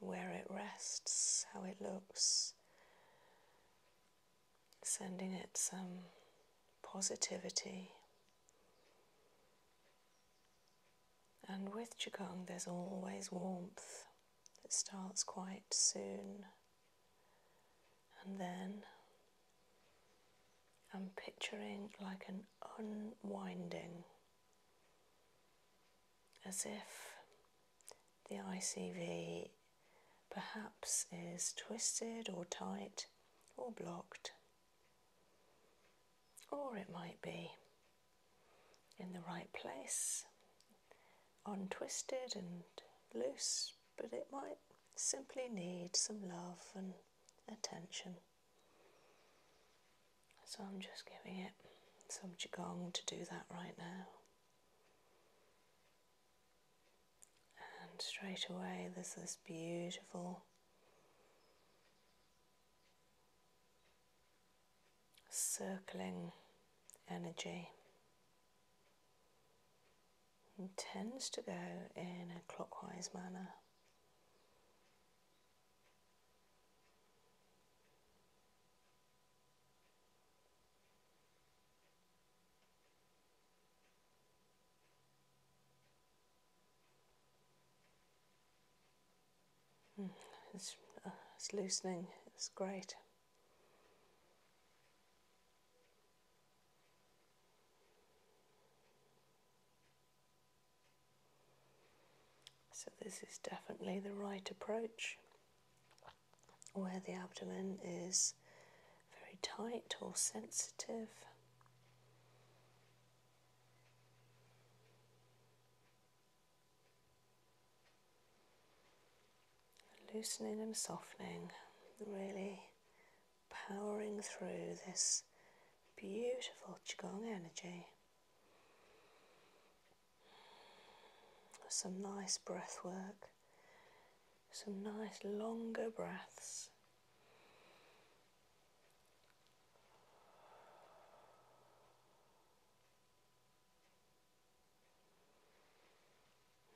where it rests, how it looks, sending it some positivity. And with Qigong, there's always warmth. It starts quite soon. And then I'm picturing like an unwinding, as if the ICV perhaps is twisted or tight or blocked, or it might be in the right place, untwisted and loose, but it might simply need some love and attention. So I'm just giving it some Qigong to do that right now. And straight away, there's this beautiful circling energy tends to go in a clockwise manner. Hmm, it's, uh, it's loosening, it's great. So this is definitely the right approach where the abdomen is very tight or sensitive. Loosening and softening, really powering through this beautiful Qigong energy. Some nice breath work, some nice longer breaths.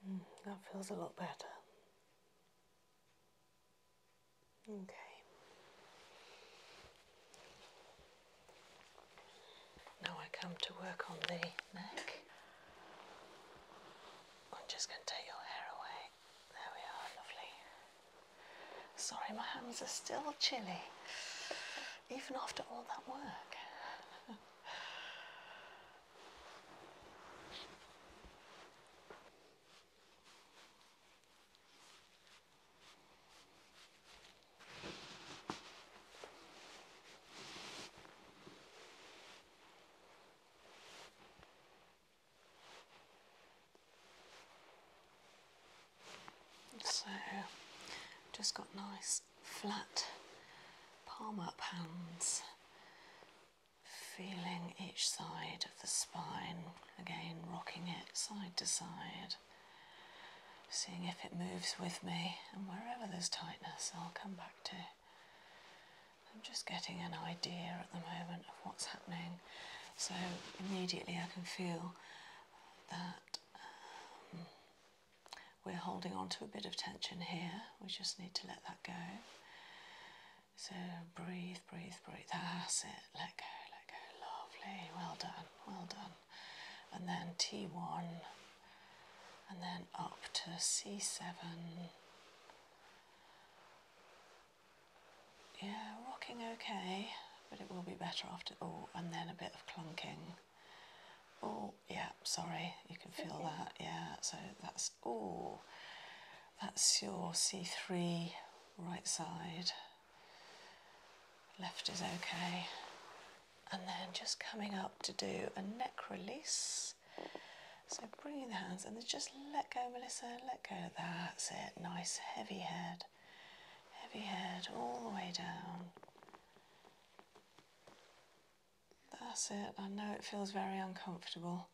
Mm, that feels a lot better. Okay. Now I come to work on the neck. I'm just going to take your hair away. There we are, lovely. Sorry, my hands are still chilly, even after all that work. So, just got nice flat palm up hands, feeling each side of the spine, again rocking it side to side, seeing if it moves with me, and wherever there's tightness, I'll come back to. I'm just getting an idea at the moment of what's happening, so immediately I can feel that um, we're holding on to a bit of tension here. We just need to let that go. So breathe, breathe, breathe. That's it. Let go, let go. Lovely. Well done, well done. And then T1. And then up to C7. Yeah, rocking okay but it will be better after. all, oh, and then a bit of clunking. Oh, yeah, sorry, you can feel that. Yeah, so that's oh, that's your C3 right side. Left is okay. And then just coming up to do a neck release. So bringing the hands and then just let go, Melissa, let go. That's it. Nice heavy head heavy head all the way down. That's it. I know it feels very uncomfortable,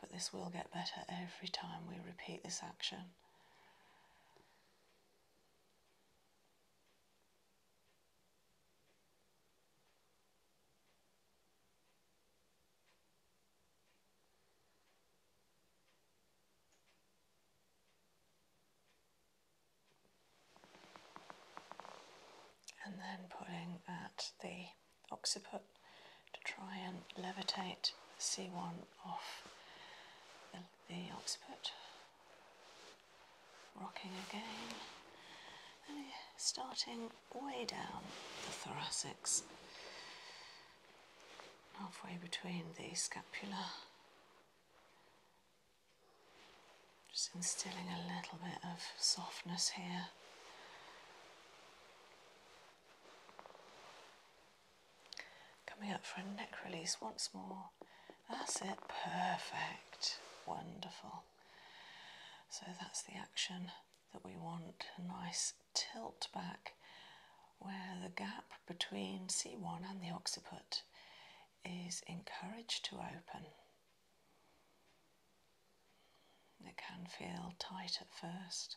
but this will get better every time we repeat this action and then pulling at the occiput to try and levitate C1 off the, occiput. Rocking again, starting way down the thoracics, halfway between the scapula just instilling a little bit of softness here. Coming up for a neck release once more. That's it, perfect, wonderful. So that's the action that we want, a nice tilt back where the gap between C1 and the occiput is encouraged to open. It can feel tight at first,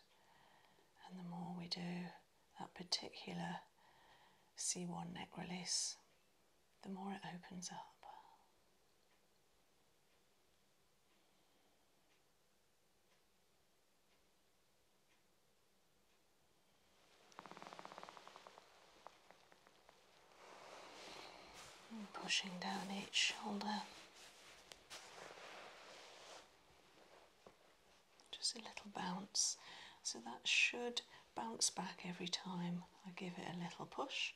and the more we do that particular C1 neck release, the more it opens up pushing down each shoulder. Just a little bounce. So that should bounce back every time I give it a little push.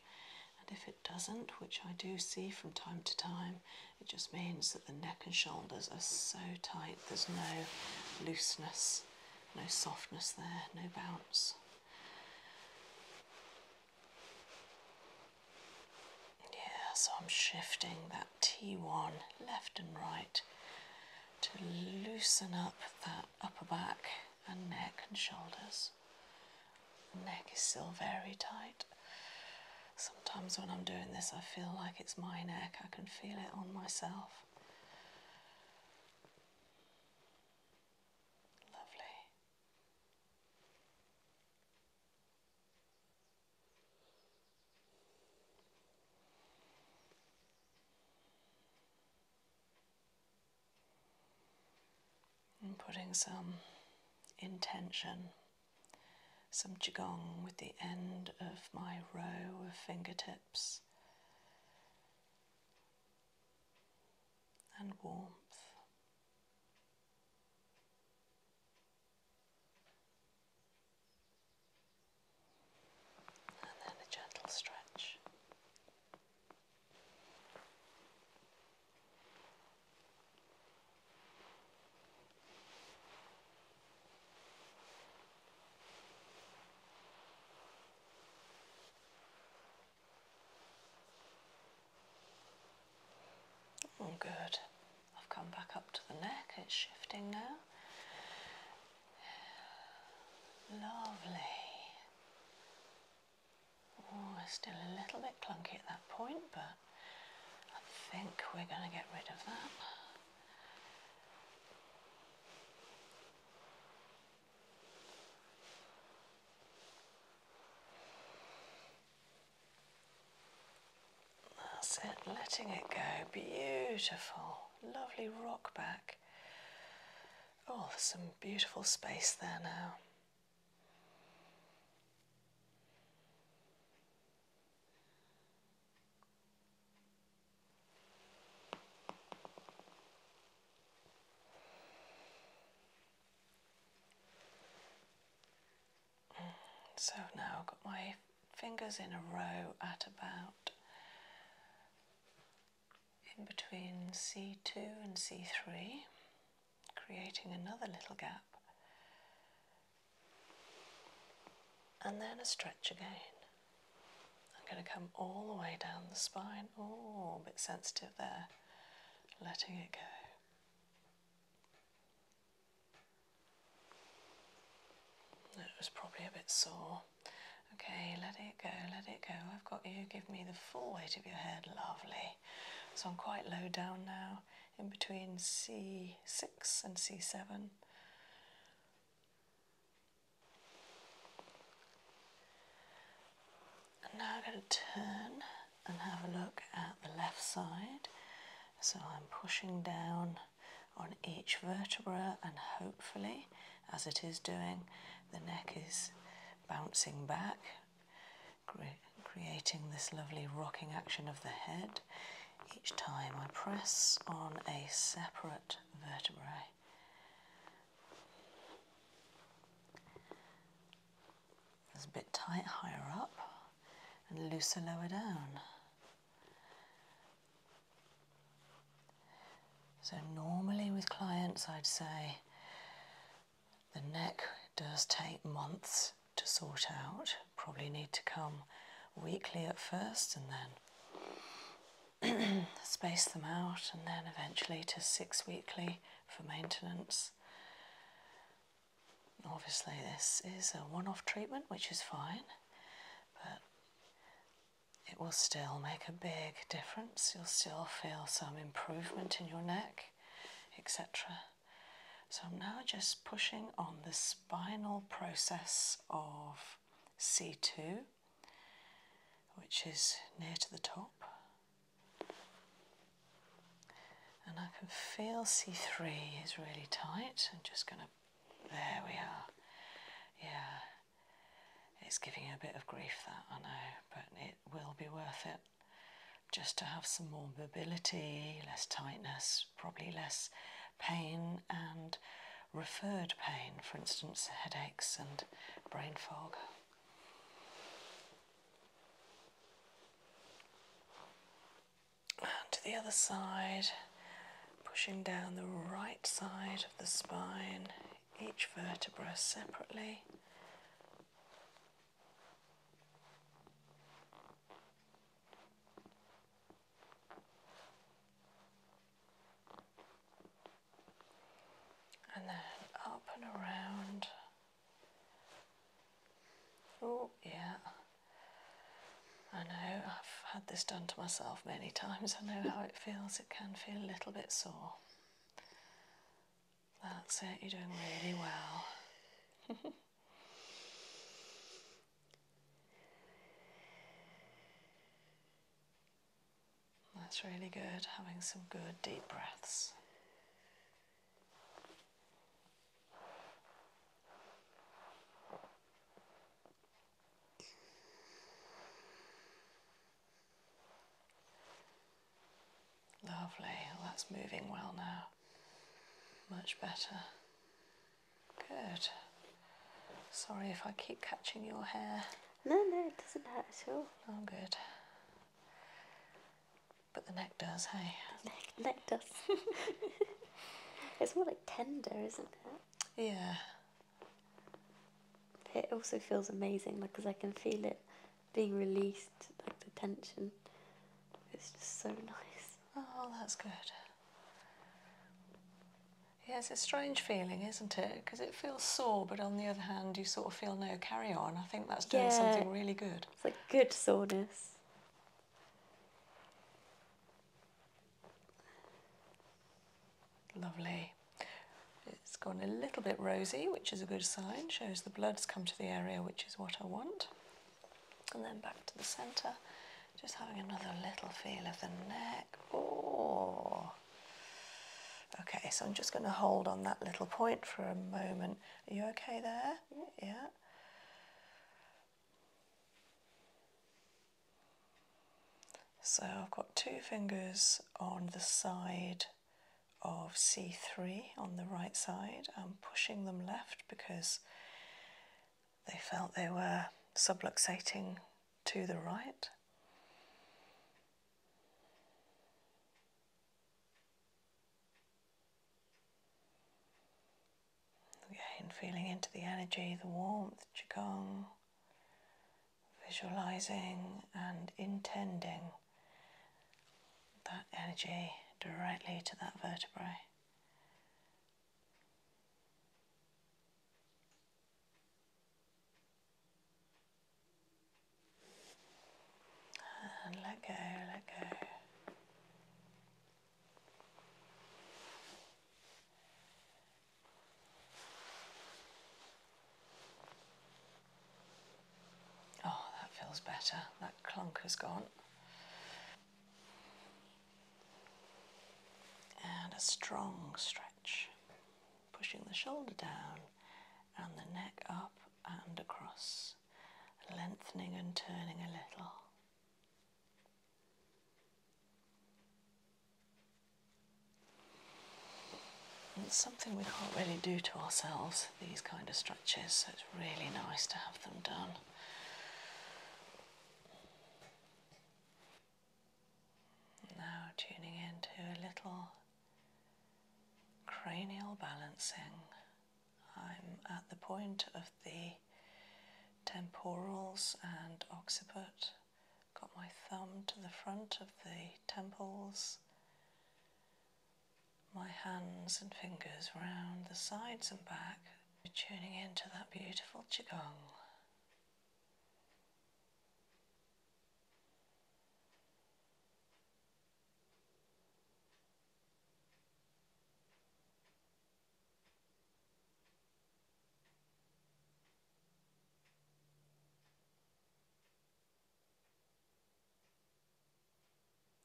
And if it doesn't, which I do see from time to time, it just means that the neck and shoulders are so tight there's no looseness no softness there, no bounce. Yeah, so I'm shifting that T1 left and right to loosen up that upper back and neck and shoulders. neck is still very tight. Sometimes when I'm doing this, I feel like it's my neck, I can feel it on myself. Lovely. And putting some intention, some Qigong with the end of my row of fingertips and warmth. And then a gentle stretch. Oh, good. I've come back up to the neck, it's shifting now. Lovely. Oh, it's still a little bit clunky at that point, but I think we're going to get rid of that. That's it, letting it go. Beautiful, lovely rock back. Oh, there's some beautiful space there now. So now I've got my fingers in a row at about in between C2 and C3, creating another little gap, and then a stretch again. I'm going to come all the way down the spine. Oh, a bit sensitive there. Letting it go. That was probably a bit sore. Okay, let it go, let it go. I've got you. Give me the full weight of your head. Lovely. So I'm quite low down now, in between C6 and C7. And now I'm going to turn and have a look at the left side. So I'm pushing down on each vertebra, and hopefully, as it is doing, the neck is bouncing back, creating this lovely rocking action of the head. Each time I press on a separate vertebra. It's a bit tight higher up and looser lower down. So normally with clients I'd say the neck does take months to sort out. Probably need to come weekly at first and then space them out, and then eventually to six weekly for maintenance. Obviously, this is a one off treatment, which is fine, but it will still make a big difference. You'll still feel some improvement in your neck, etc. So, I'm now just pushing on the spinal process of C2 which is near to the top. And I can feel C3 is really tight. I'm just going to, there we are. Yeah, it's giving you a bit of grief that I know, but it will be worth it just to have some more mobility, less tightness, probably less pain and referred pain, for instance, headaches and brain fog. And to the other side, pushing down the right side of the spine, each vertebra separately and then up and around. Oh, yeah. I know, I've had this done to myself many times. I know how it feels. It can feel a little bit sore. That's it, you're doing really well. That's really good, having some good deep breaths. Lovely, that's moving well now. Much better. Good. Sorry if I keep catching your hair. No, no, it doesn't hurt at all. Oh, good. But the neck does, hey? neck, neck does. it's more like tender, isn't it? Yeah. It also feels amazing because I can feel it being released, like the tension. It's just so nice. Oh, that's good. Yes, it's a strange feeling, isn't it? Because it feels sore, but on the other hand, you sort of feel no carry on. I think that's doing something really good. It's like good soreness. Lovely. It's gone a little bit rosy, which is a good sign, shows the blood's come to the area, which is what I want. And then back to the centre, just having another little feel of the neck. Oh, Okay, so I'm just going to hold on that little point for a moment. Are you okay there? Yeah. So I've got two fingers on the side of C3 on the right side. I'm pushing them left because they felt they were subluxating to the right. Again, feeling into the energy, the warmth, Qigong, visualizing and intending that energy directly to that vertebrae. And let go, let go. Oh, that feels better. That clunk has gone. And a strong stretch pushing the shoulder down and the neck up and across, lengthening and turning a little. it's something we can't really do to ourselves, these kind of stretches, so it's really nice to have them done. Now tuning into a little cranial balancing. I'm at the point of the temporals and occiput. Got my thumb to the front of the temples, my hands and fingers round the sides and back, tuning into that beautiful Qigong.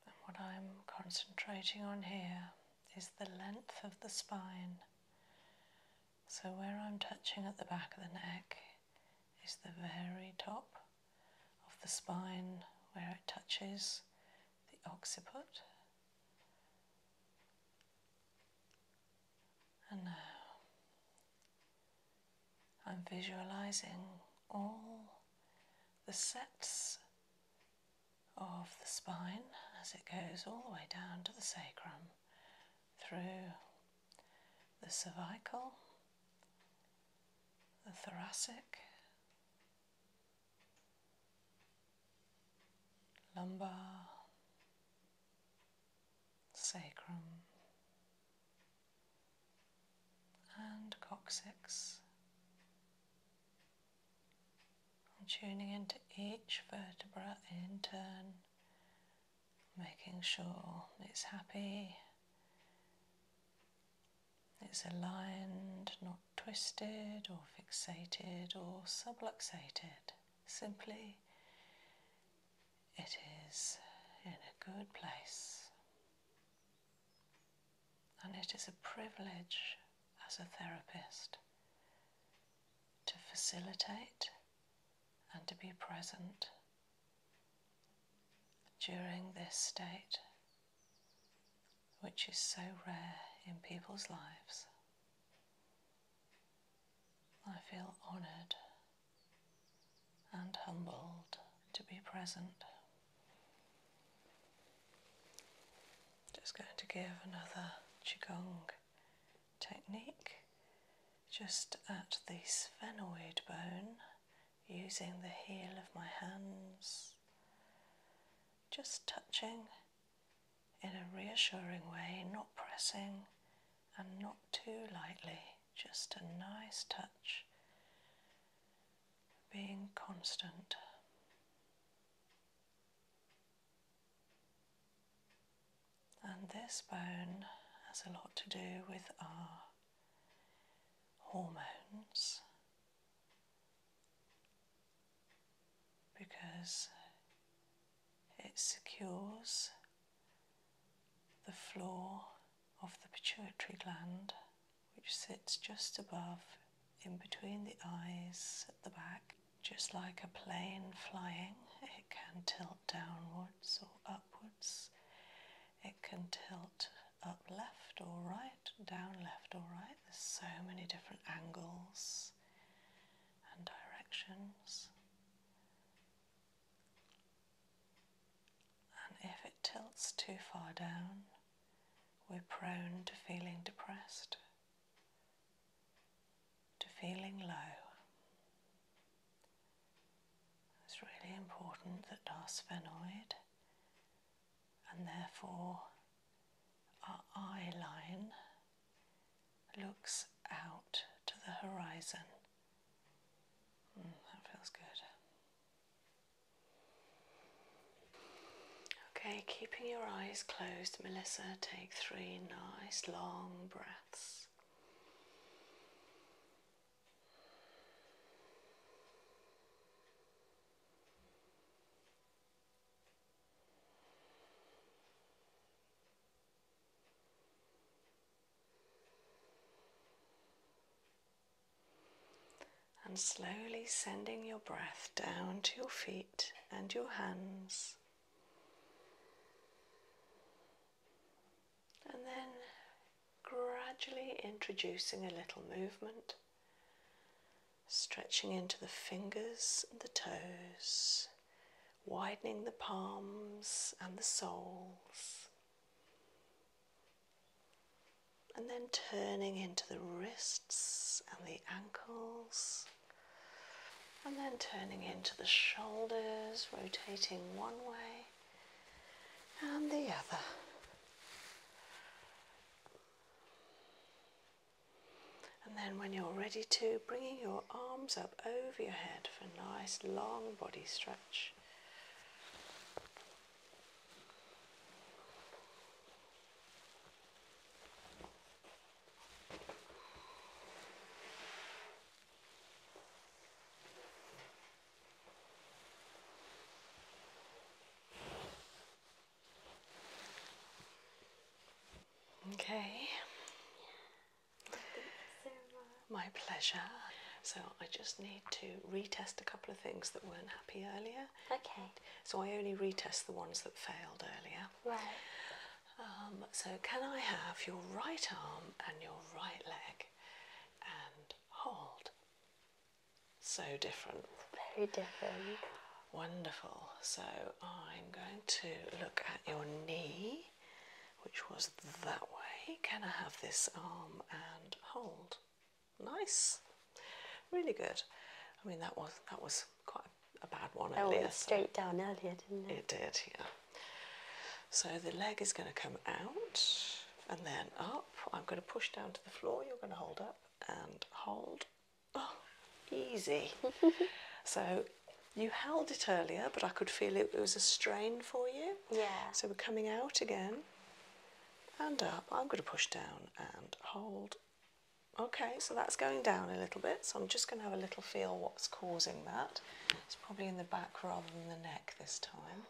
And what I'm concentrating on here is the length of the spine. So, where I'm touching at the back of the neck, is the very top of the spine where it touches the occiput. And now I'm visualizing all the sets of the spine as it goes all the way down to the sacrum through the cervical, the thoracic, lumbar, sacrum, and coccyx. I'm tuning into each vertebra in turn making sure it's happy, it's aligned, not twisted or fixated or subluxated. Simply, it is in a good place. And it is a privilege as a therapist to facilitate and to be present during this state, which is so rare in people's lives. I feel honoured and humbled to be present. Just going to give another Qigong technique just at the sphenoid bone using the heel of my hands, just touching in a reassuring way, not pressing and not too lightly, just a nice touch, being constant. And this bone has a lot to do with our hormones because it secures the floor of the pituitary gland, which sits just above, in between the eyes at the back. Just like a plane flying, it can tilt downwards or upwards it can tilt up left or right, down left or right. There's so many different angles and directions. And if it tilts too far down, we're prone to feeling depressed, to feeling low. It's really important that our sphenoid and therefore our eye line looks out to the horizon. Hmm, that feels good. Okay, keeping your eyes closed, Melissa, take three nice long breaths. And slowly sending your breath down to your feet and your hands and then gradually introducing a little movement, stretching into the fingers and the toes, widening the palms and the soles, and then turning into the wrists and the ankles. And then turning into the shoulders, rotating one way and the other. And then when you're ready to, bringing your arms up over your head for a nice long body stretch. Okay. My pleasure. So I just need to retest a couple of things that weren't happy earlier. Okay. So I only retest the ones that failed earlier. Right. Um, so can I have your right arm and your right leg and hold. So different. Very different. Wonderful. So I'm going to look at your knee, which was that way. Can I have this arm and hold? Nice. Really good. I mean that was that was quite a bad one at least. went straight down earlier, didn't it? It did, yeah. So the leg is going to come out and then up. I'm going to push down to the floor. You're going to hold up and hold. Oh, easy. so you held it earlier, but I could feel it, it was a strain for you. Yeah. So we're coming out again and up. I'm going to push down and hold. Okay, so that's going down a little bit. So I'm just going to have a little feel what's causing that. It's probably in the back rather than the neck this time.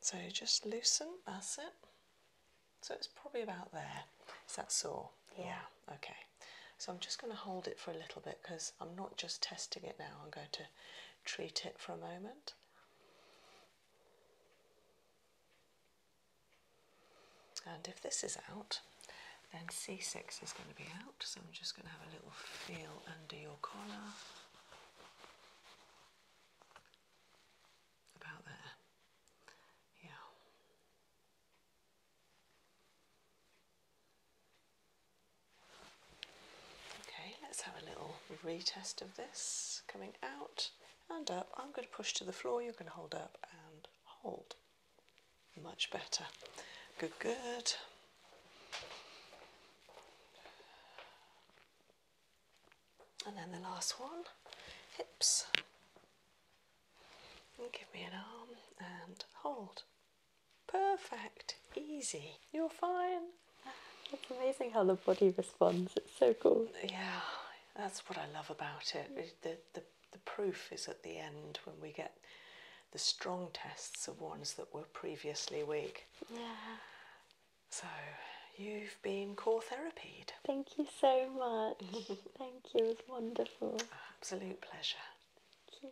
So just loosen, that's it. So it's probably about there. Is that sore? Yeah. yeah. Okay. So I'm just going to hold it for a little bit because I'm not just testing it now, I'm going to treat it for a moment. And if this is out, then C6 is going to be out. So I'm just going to have a little feel under your collar. About there. Yeah. Okay, let's have a little retest of this. Coming out and up. I'm going to push to the floor, you're going to hold up and hold. Much better. Good, good. And then the last one, hips. And give me an arm and hold. Perfect, easy. You're fine. It's amazing how the body responds. It's so cool. Yeah, that's what I love about it. The, the, proof is at the end when we get the strong tests of ones that were previously weak. Yeah. So you've been core therapied. Thank you so much. Thank you. It was wonderful. Absolute pleasure. Thank you.